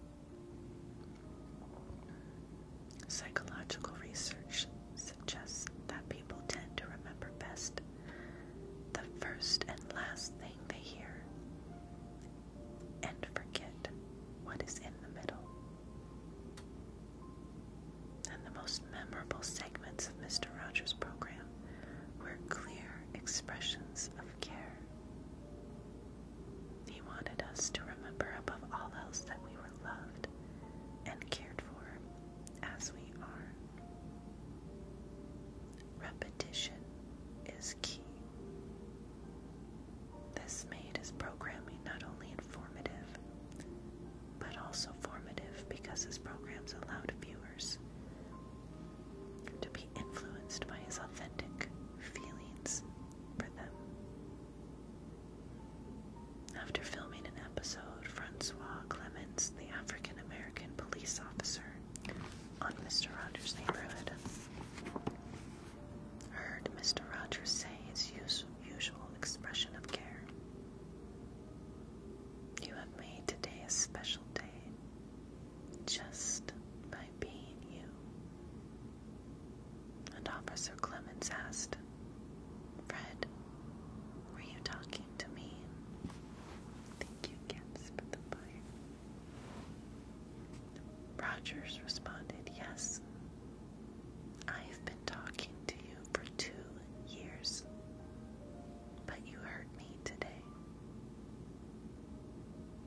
Psychological research suggests that people tend to remember best the first and last thing they hear, and forget what is in the middle. And the most memorable segments of Mr. Rogers' program were clear expressions of care. He wanted us to remember above all else that we were loved and cared for as we are. Repetition is key. This made his programming not only informative, but also formative because his programs allowed viewers to be influenced by his authentic feelings for them. After filming an episode, Francois Clemens, the African American American police officer on Mr. Rogers' neighborhood. Heard Mr. Rogers say his usual expression of care. You have made today a special day just by being you. And Officer Clemens asked, Fred, were you talking to me. Thank you, Gibbs, Rogers responded, Yes, I have been talking to you for two years, but you heard me today.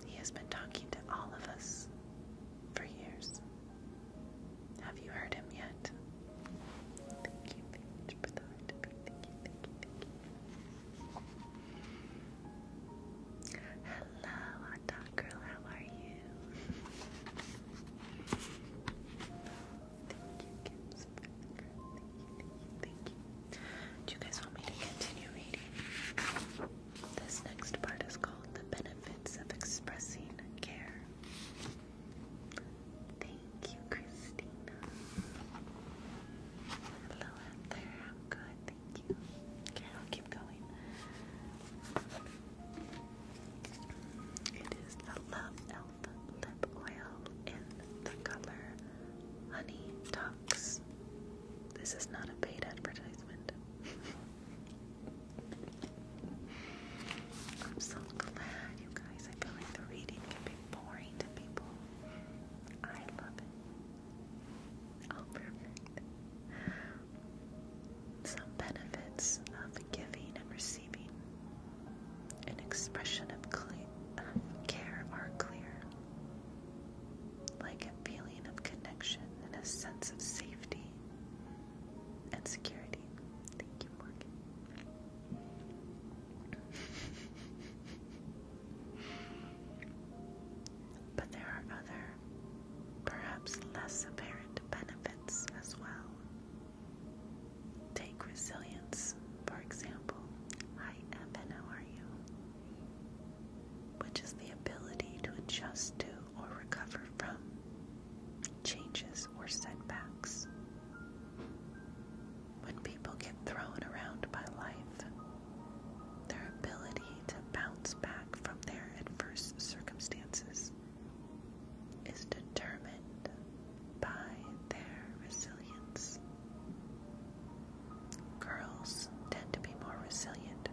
He has been talking to all of us for years. Have you heard him yet? Thank you, Paige, Hello, hot dog girl, how are you? thank you, Kim's Thank you, thank you, thank you. Do you guys want me to continue reading? This next part is called The Benefits of Expressing Care. Thank you, Christina. Hello out there. I'm good, thank you. Okay, I'll keep going. It is the Love Elf lip oil in the color Honey Talks. This is not a paid advertisement. I'm so glad you guys. I feel like the reading can be boring to people. I love it. Oh, Some benefits of giving and receiving an expression of care are clear, like a feeling of connection and a sense of safety and security. Thank you, Morgan. But there are other, perhaps less apparent benefits as well. Take resilience, for example. Hi, Evan, how are you? Which is the ability to adjust to or recover from changes or setbacks. When people get thrown around by life, their ability to bounce back from their adverse circumstances is determined by their resilience. Girls tend to be more resilient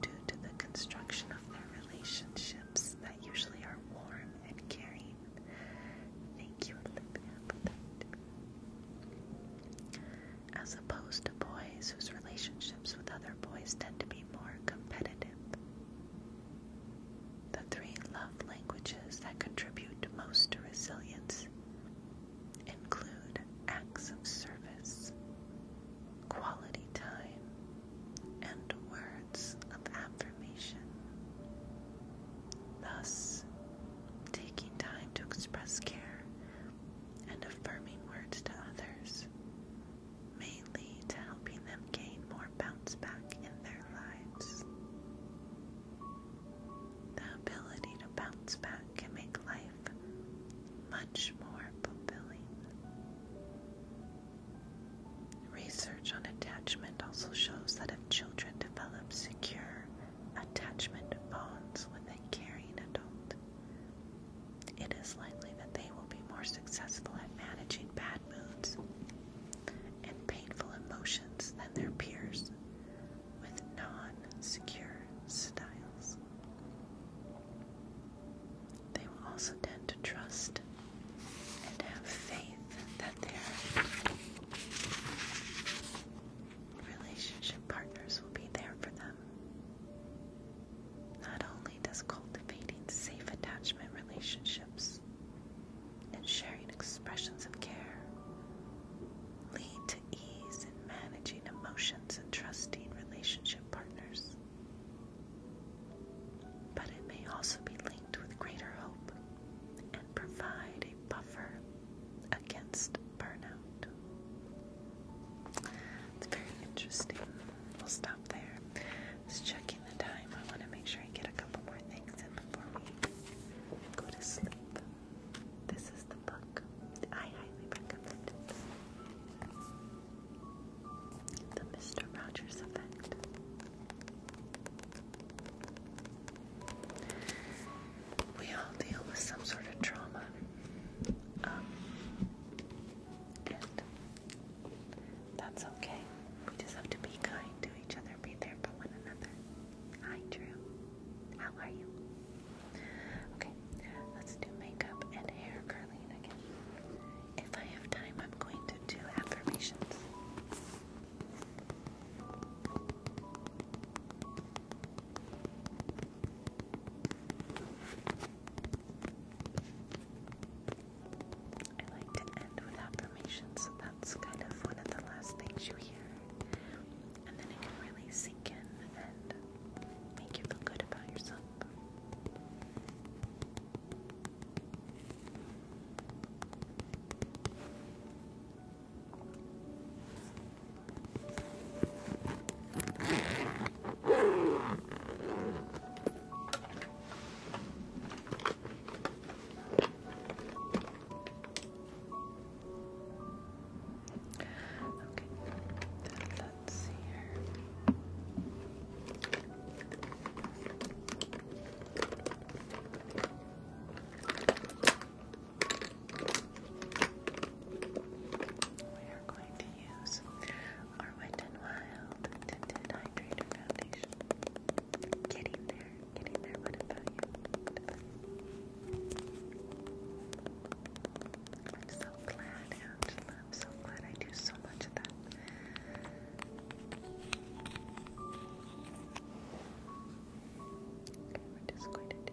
due to the construction of their relationships that usually are warm and caring. Thank you, Olivia, for that. As opposed to boys whose relationships with other boys tend to be more competitive. The three love languages that contribute most to resilience include acts of service, quality time, and words of affirmation. Thus, taking time to express care and affirming words to others may lead to helping them gain more bounce back in their lives. The ability to bounce back can make life much more fulfilling. Research on attachment also shows that if children develop secure attachment bonds with a caring adult. It is likely that they will be more successful at managing bad moods and painful emotions than their peers with non secure styles. They will also tend to trust and have faith that they are relationship partners will be there for them. Not only does cultivating safe attachment relationships and sharing expressions of care lead to ease in managing emotions and trusting relationship partners, but it may also be linked with greater hope and provide a buffer against burnout. It's very interesting. We'll stop there. Just checking the time. I want to make sure I get a couple more things in before we go to sleep. This is the book. I highly recommend The Mr. Rogers Effect. We all deal with some sort of trauma. Um, and that's okay. We just have to be kind to each other, be there for one another. Hi, Drew. How are you? Okay, let's do makeup and hair curling again. If I have time, I'm going to do affirmations. I like to end with affirmations, so that's kind of one of the last things you hear. And then it can really sink in and make you feel good about yourself. Okay, then let's see here. Okay. We are going to use our Wet n Wild Tinted Hydrator Foundation. Getting there, getting there. What about you? I'm so glad, Angela. I'm so glad I do so much of that. Okay, we're just going to do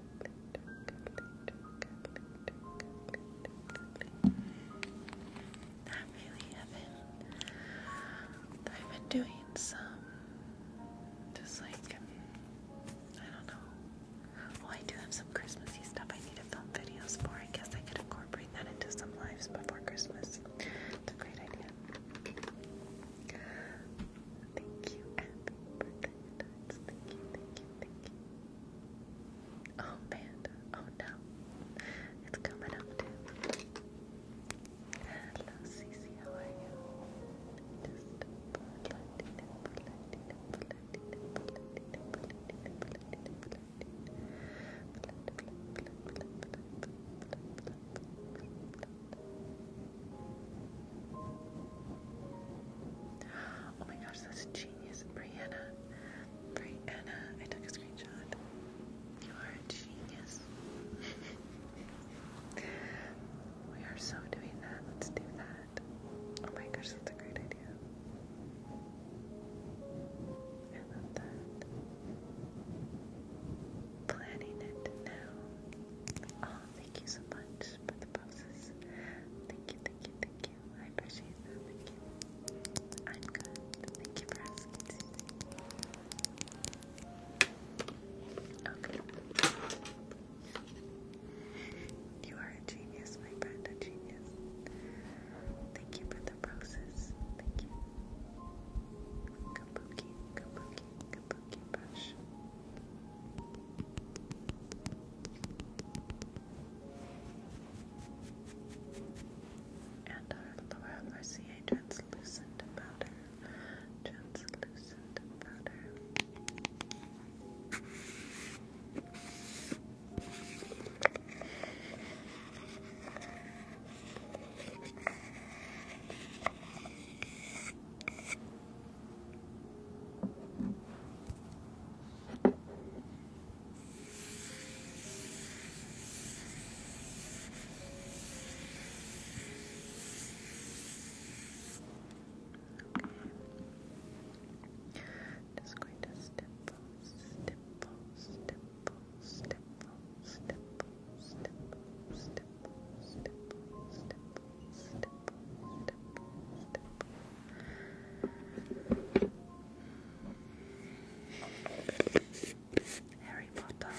I really haven't. I've been doing some, just like, I don't know. Well, oh, I do have some Christmassy stuff I need to film videos for. I guess I could incorporate that into some lives before Christmas. It's a great idea. Thank you, Abby, Oh, Panda. Oh, no. It's coming up, Hello, Cece. How are you? Oh my gosh, that's genius, Brianna. Right, Anna, I took a screenshot. You are a genius. we are so doing that. Let's do that. Oh my gosh, that's a great idea. I love that. Planning it now. Oh, thank you so much for the poses. Thank you, thank you, thank Thank you. I appreciate that. I'm good. Thank you for asking, Okay. You are a genius, my friend, a genius. Thank you for the process. Thank you. Kabuki, kabuki, kabuki brush and our Laura Mercier translucent powder, translucent powder. Just going to stipple, stipple, stipple, stipple, stipple, stipple, stipple, stipple, stipple, stipple, stipple, stipple. Harry Potter.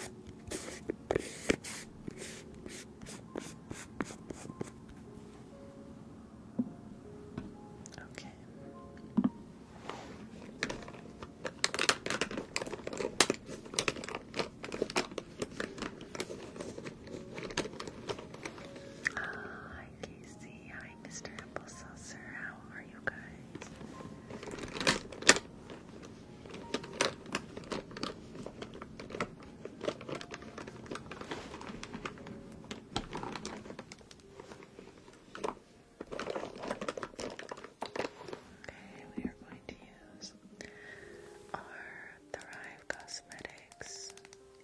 Okay. Ah, Hi Casey, hi Mr. Apple Saucer, how are you guys? Okay, we are going to use our Thrive Cosmetics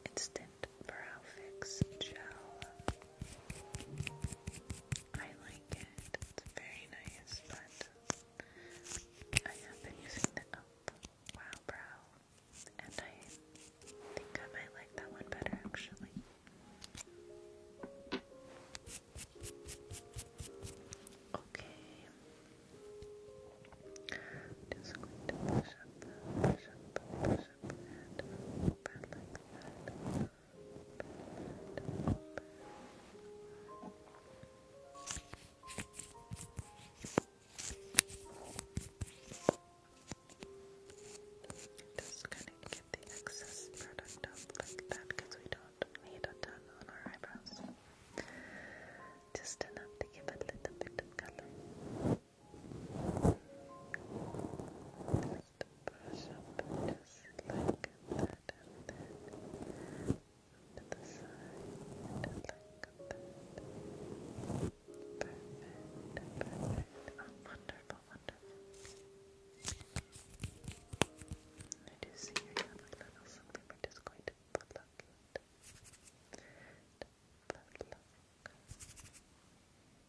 Instant Brow Fix Gel. I like it. It's very nice, but I have been using the Elf Wow Brow, and I think I might like that one better actually. Okay. Just going to push up, push up, push up, and open like Just gonna get the excess product up like that because we don't need a ton on our eyebrows. Just enough to give a little bit of color brush up just like that and the side like that. Perfect, perfect. wonderful, wonderful. I do see you have little something. We're just going to pluck it. To pluck. Pluck, pluck, pluck,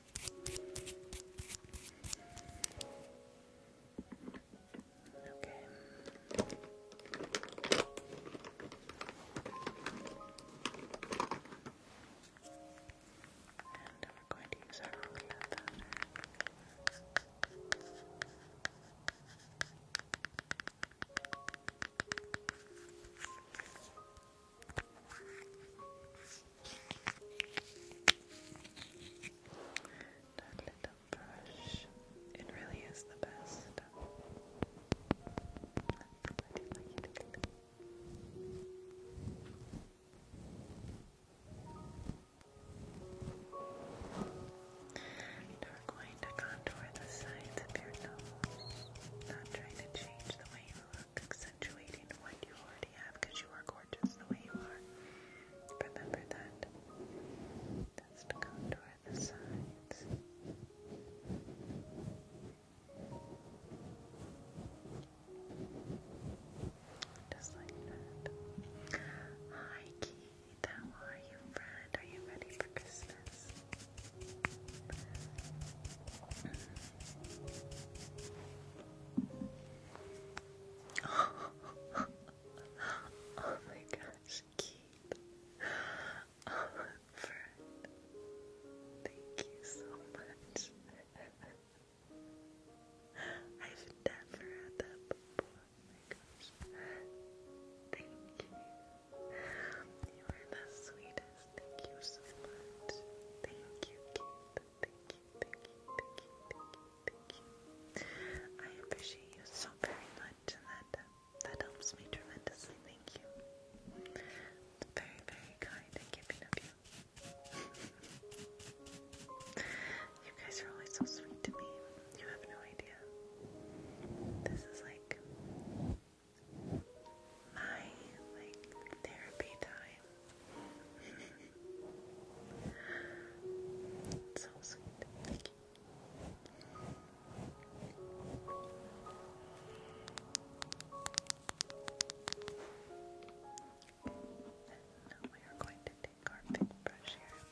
And we're going to use our roller that little brush, it really is the best. I we're going to contour the sides of your nose, not trying to change the way you look accentuating what you already have you are gorgeous the way you are. Remember that. Just contour the sides. Just like that. Hi Keith, how are you, friend? Are you ready for Christmas? oh my gosh, Keith. Oh, friend. Thank you so much. I've never had that before. Oh my gosh. Thank you. You are the sweetest. Thank you so much. Thank you, Keith thank you, thank you, thank you, thank you, thank you. I appreciate you so very much, and that that helps me tremendously. Thank you. It's very, very kind and giving of you. you guys are always so sweet to me. You have no idea. This is like my like therapy time so sweet. Thank you. now we are going to take our big brush here.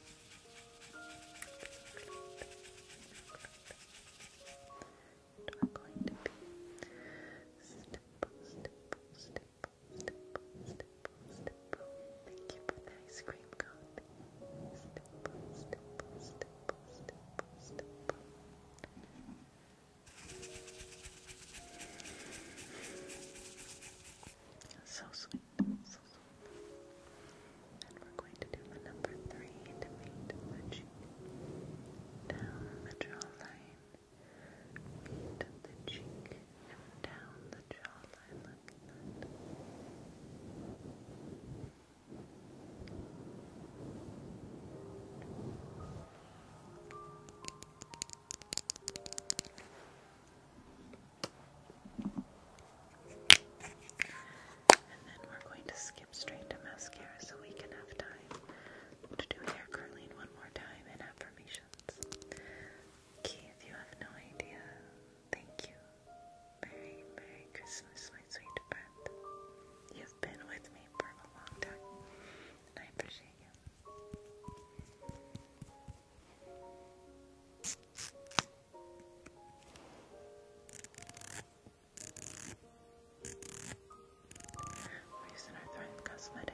we're going to be stipple, stipple, stipple, Thank you for the ice cream So sweet, so sweet. And we're going to do number three to make down the jawline feet the cheek and down the jawline like that. And then we're going to skip straight to mascara so we can have time to do hair curling one more time and affirmations. Keith, you have no idea. Thank you. Merry, Merry Christmas, my sweet friend. You've been with me for a long time, and I appreciate you. We're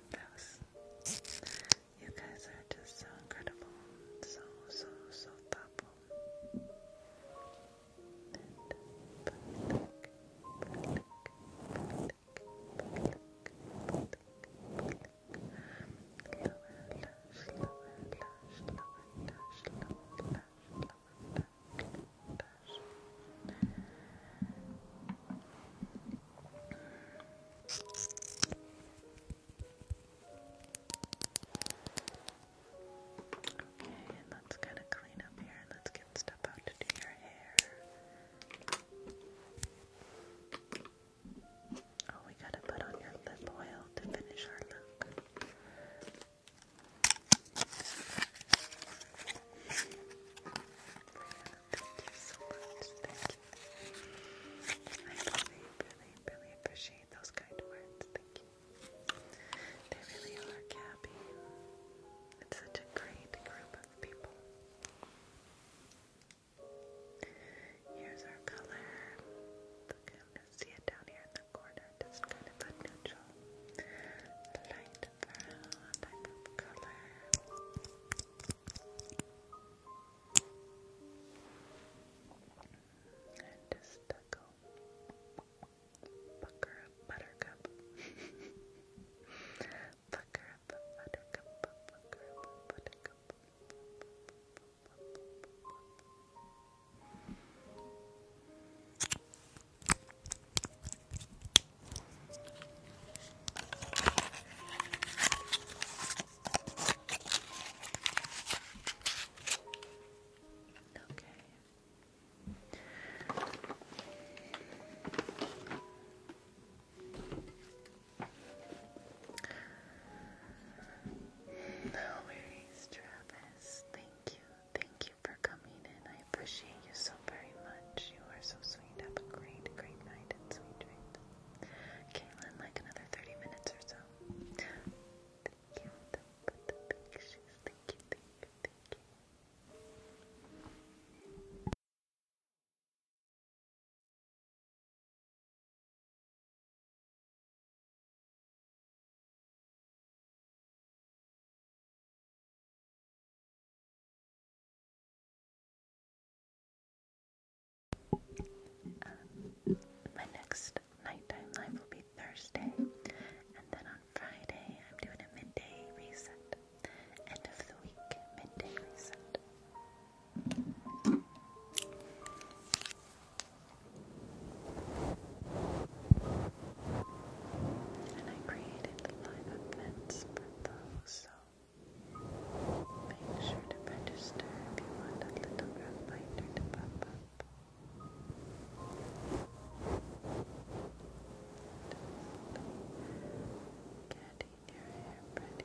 you guys are just so incredible, so, so, so thoughtful. Okay, let's kind of clean up here and let's get stuff out to do your hair. Oh, we gotta put on your lip oil to finish our look. Thank you so much. Thank you. I really, really, really appreciate those kind words. Thank you. They really are, Gabby. It's such a great group of people. Here's our color. Look, I'm gonna see it down here in the corner. Just kind of a neutral light light brown And just a go pucker buttercup. buttercup, buttercup. No worries, Travis. Thank you. Thank you for coming and I appreciate you so very much. You are so sweet. Have a great, great night and sweet dreams. Caitlin, like another 30 minutes or so. Thank you. Thank you, thank you, thank you. Um, my next nighttime live will be Thursday, and then on Friday I'm doing a midday reset. End of the week, midday reset. And I created live events for those, Make sure to register if you want a little reminder to pop up. getting your hair pretty.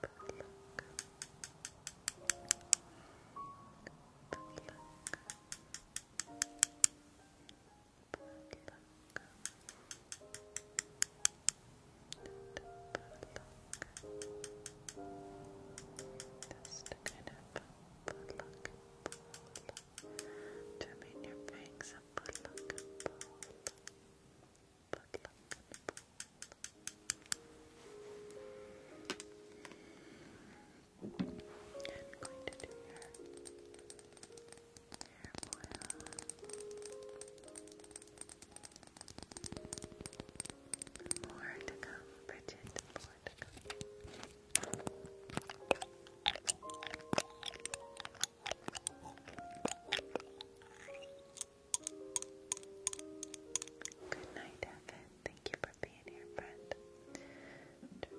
But look. But look. Just to kind of put look, to make your bangs a put look, put look, put look, I'm going to do your hair oil. More to come, Bridget. More to come. Good night, Evan. Thank you for being here, friend. Good night.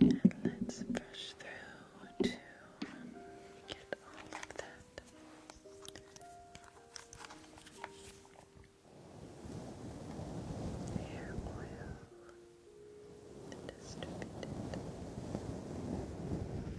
And let's brush through to um, get all of that. Hair oil distributed.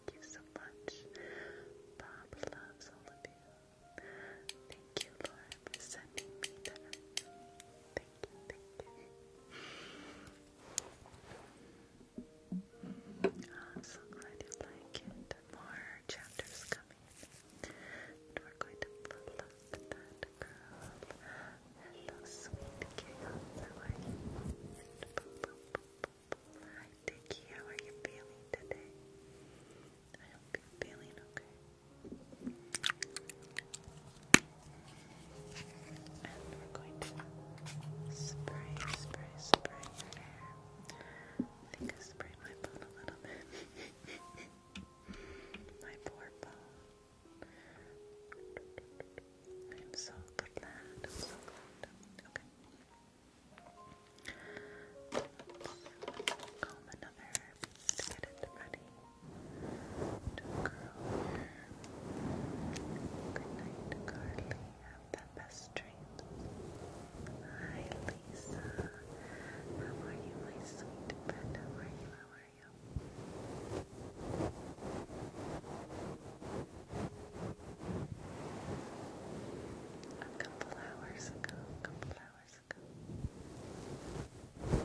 Thank you so much. Bob loves all of you. Thank you, Laura, for sending me that thank you, I'm so glad you like it. More chapters coming. we're going to look that girl. Hello, sweet giggles. Hi, Dickie. How are you feeling today? I hope feeling okay. And we're going to spray, spray, spray your hair. I think I sprayed my bone a little bit. my poor bone. I'm so glad. I'm so glad. Okay. Let's get it ready to curl your Good night, Carly. Have the best dreams. Hi, Lisa. How are you, my sweet How are you? How are you? A couple hours ago, a couple hours ago.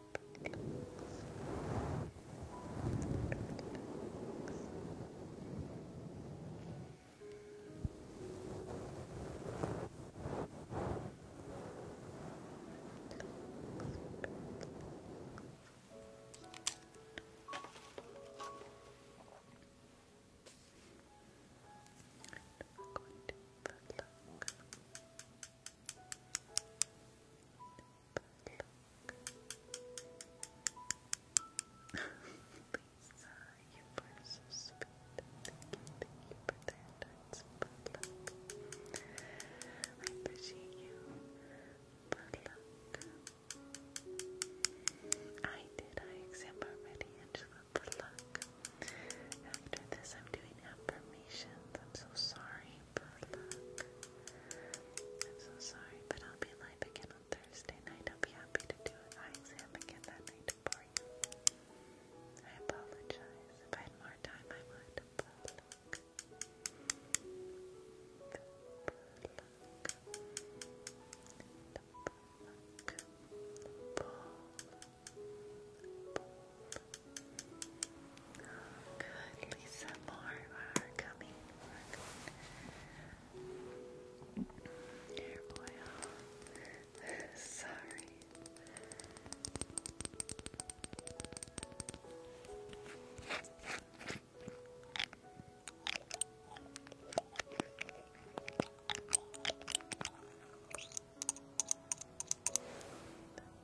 Going to look. Lisa, you were so sweet. Thank you, for that. That's good luck. I appreciate you. Good I did I exam already, Angela. Good After this, I'm doing affirmations. I'm so sorry paper I'm so sorry, but I'll be live again on Thursday night. I'll be happy to do an eye exam again that night for you. I apologize. If I had more time, I would. Oh, good, Lisa. More are coming. Sorry. I'm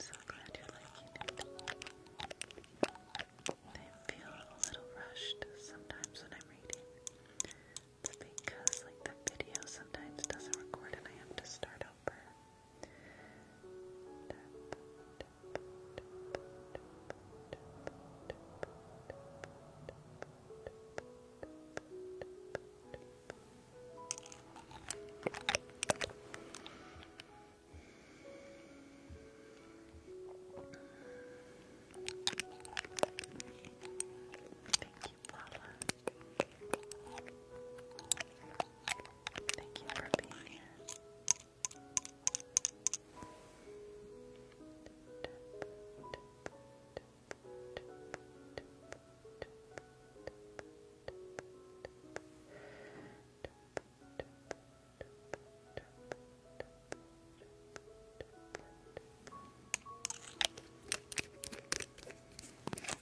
so glad you're liking it. I feel a little rushed sometimes when I'm reading. It's because like the video sometimes doesn't record and I have to start over. Thank you, Paula. Thank you for being here. Thank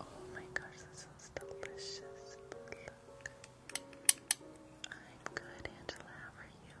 Oh my gosh, this is delicious. I'm good, Angela. How are you?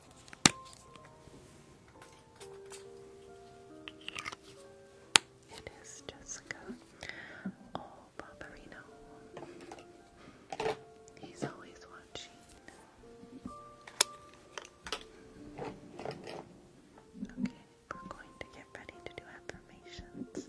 it is Jessica Oh, Barbarino. He's always watching. Okay, we're going to get ready to do affirmations.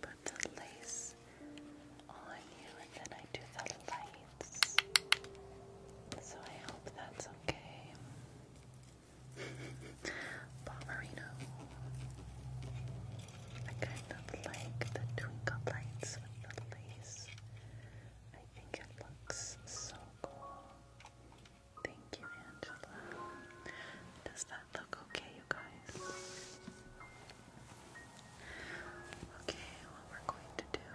put the lace on you and then I do the lights. So I hope that's okay. Bomberino. I kind of like the twinkle lights with the lace. I think it looks so cool. Thank you, Angela. Does that look okay, you guys? Okay, what we're going to do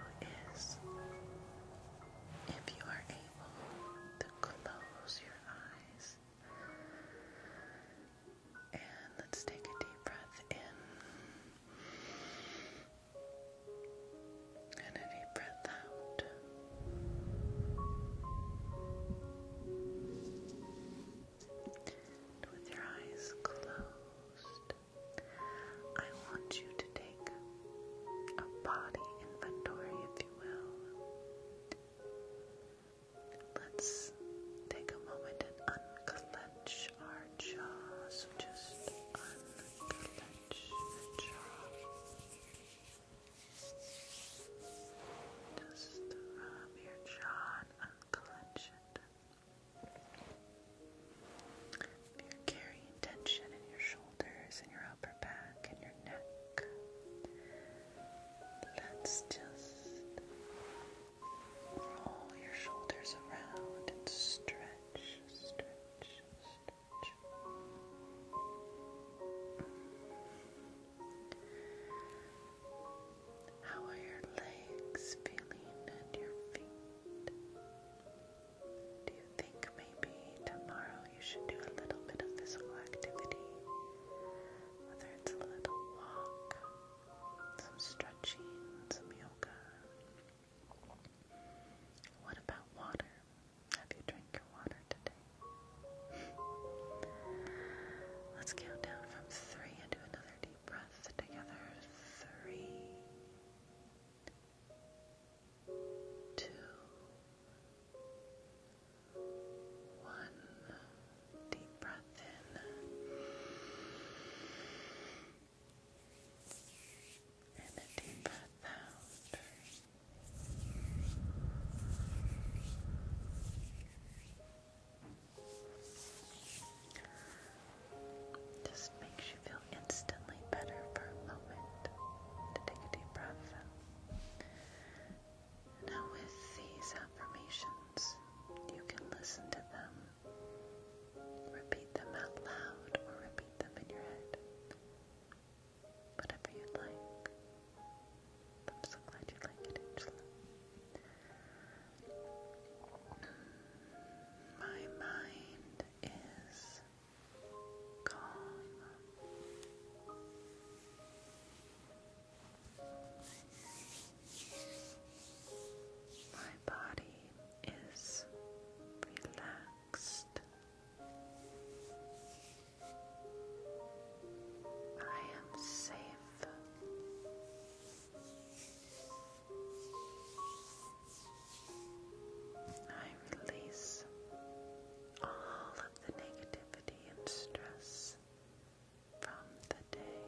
is if you are able to close your eyes and let's take a deep breath in and a deep breath out with your eyes closed, I want you to take a body inventory, if you will. Let's take a moment and unclench our jaw. So just unclench the jaw. Just rub your jaw unclench it. If you're carrying tension in your shoulders and your upper back and your neck, let's just roll your shoulders around and stretch, stretch, stretch. How are your legs feeling and your feet? Do you think maybe tomorrow you should do a little bit of physical activity? Whether it's a little walk, some stretching, some yoga. What about water? Have you drank your water today? Let's count down from three and do another deep breath together. Three, two, one. Deep breath in. And a deep breath out. Just makes you feel instantly better for a moment take a deep breath. Now, with these affirmations, you can listen to them, repeat them out loud, or repeat them in your head. Whatever you'd like. I'm so glad you like it, Angela. My mind is calm. My body is relaxed. I am safe. I release all of the negativity and stress from the day.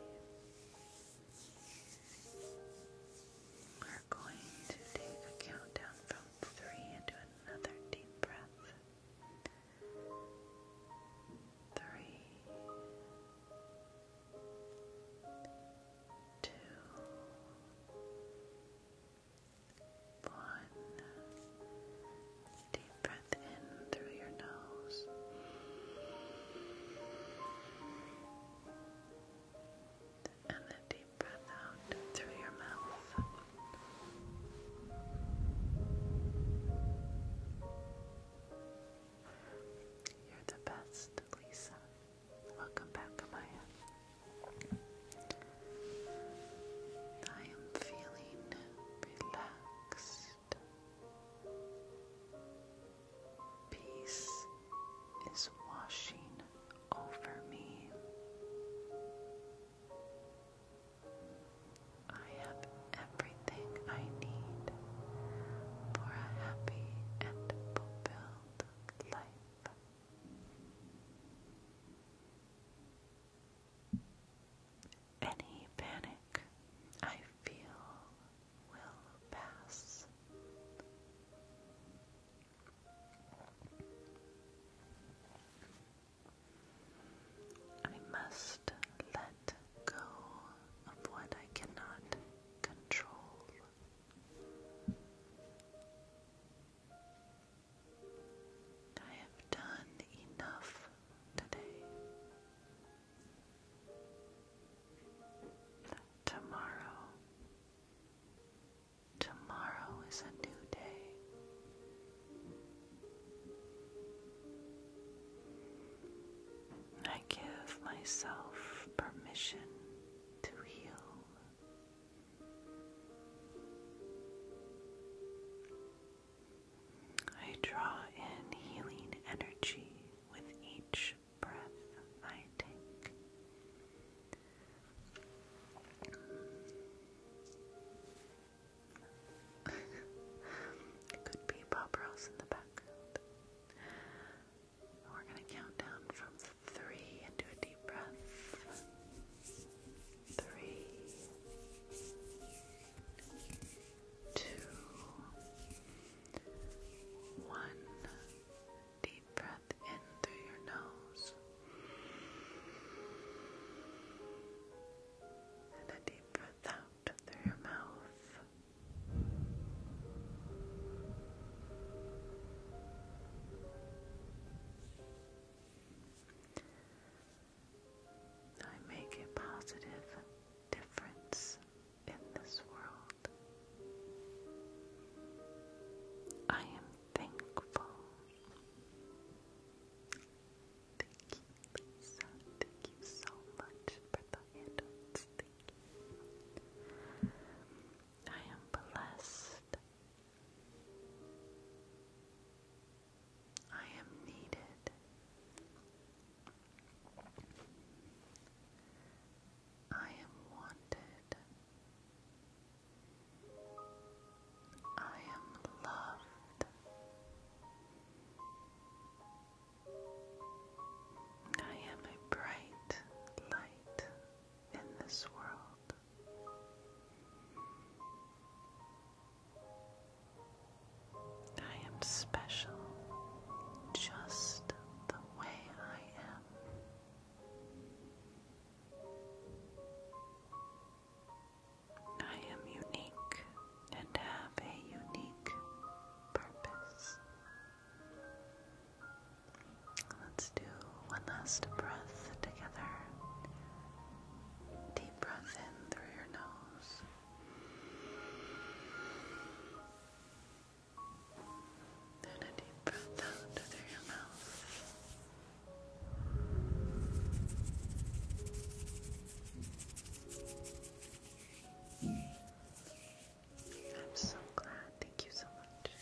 We're going to take a countdown from three into another deep breath. Three, two, one. Deep breath in through your nose. And then deep breath out through your mouth. You're the best, Lisa. Welcome back, Amaya. I am feeling relaxed. Peace is washing over me. I have everything I need for a happy and fulfilled life. Any panic I feel will pass. I must let go of what I cannot control. I have done enough today. Tomorrow, tomorrow is a new day. I give myself permission to heal. I draw in healing energy with each breath I take. Could be Bob Ross in the background we're going to count down from three and do a deep breath. Three, two, one. Deep breath in through your nose. And a deep breath out through your mouth. I make a positive difference in this world. I am thankful. Thank you, Lisa. Thank you so much for the handouts. I am blessed. I am needed. I am wanted. I am loved. I am a bright light in this world. I am special just the way I am. I am unique and have a unique purpose. Let's do one last breath together. Deep breath in through your nose. Then a deep breath out through your mouth. I'm so glad. Thank you so much.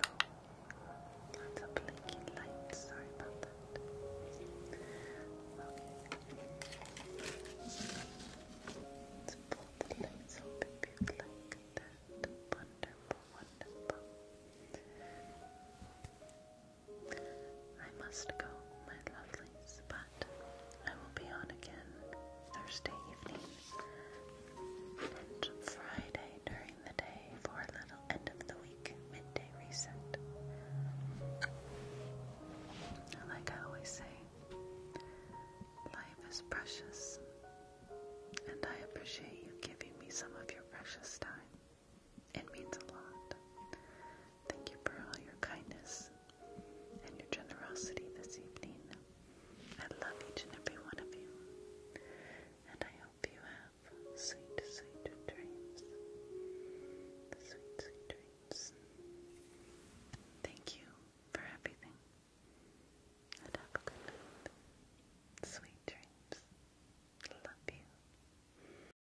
Oh, lots of blinking lights. Sorry about that. Let's pull the lights open if you like that. Wonderful, wonderful. I must go, my lovelies, but I will be on again Thursday evening and Friday during the day for a little end of the week midday reset. Like I always say, life is precious, and I appreciate you giving me some of your precious time. It means a lot. Thank you for all your kindness and your generosity this evening. I love each and every one of you, and I hope you have sweet, sweet dreams. Sweet, dreams. Thank you for everything, and have a good night. Sweet dreams. Love you.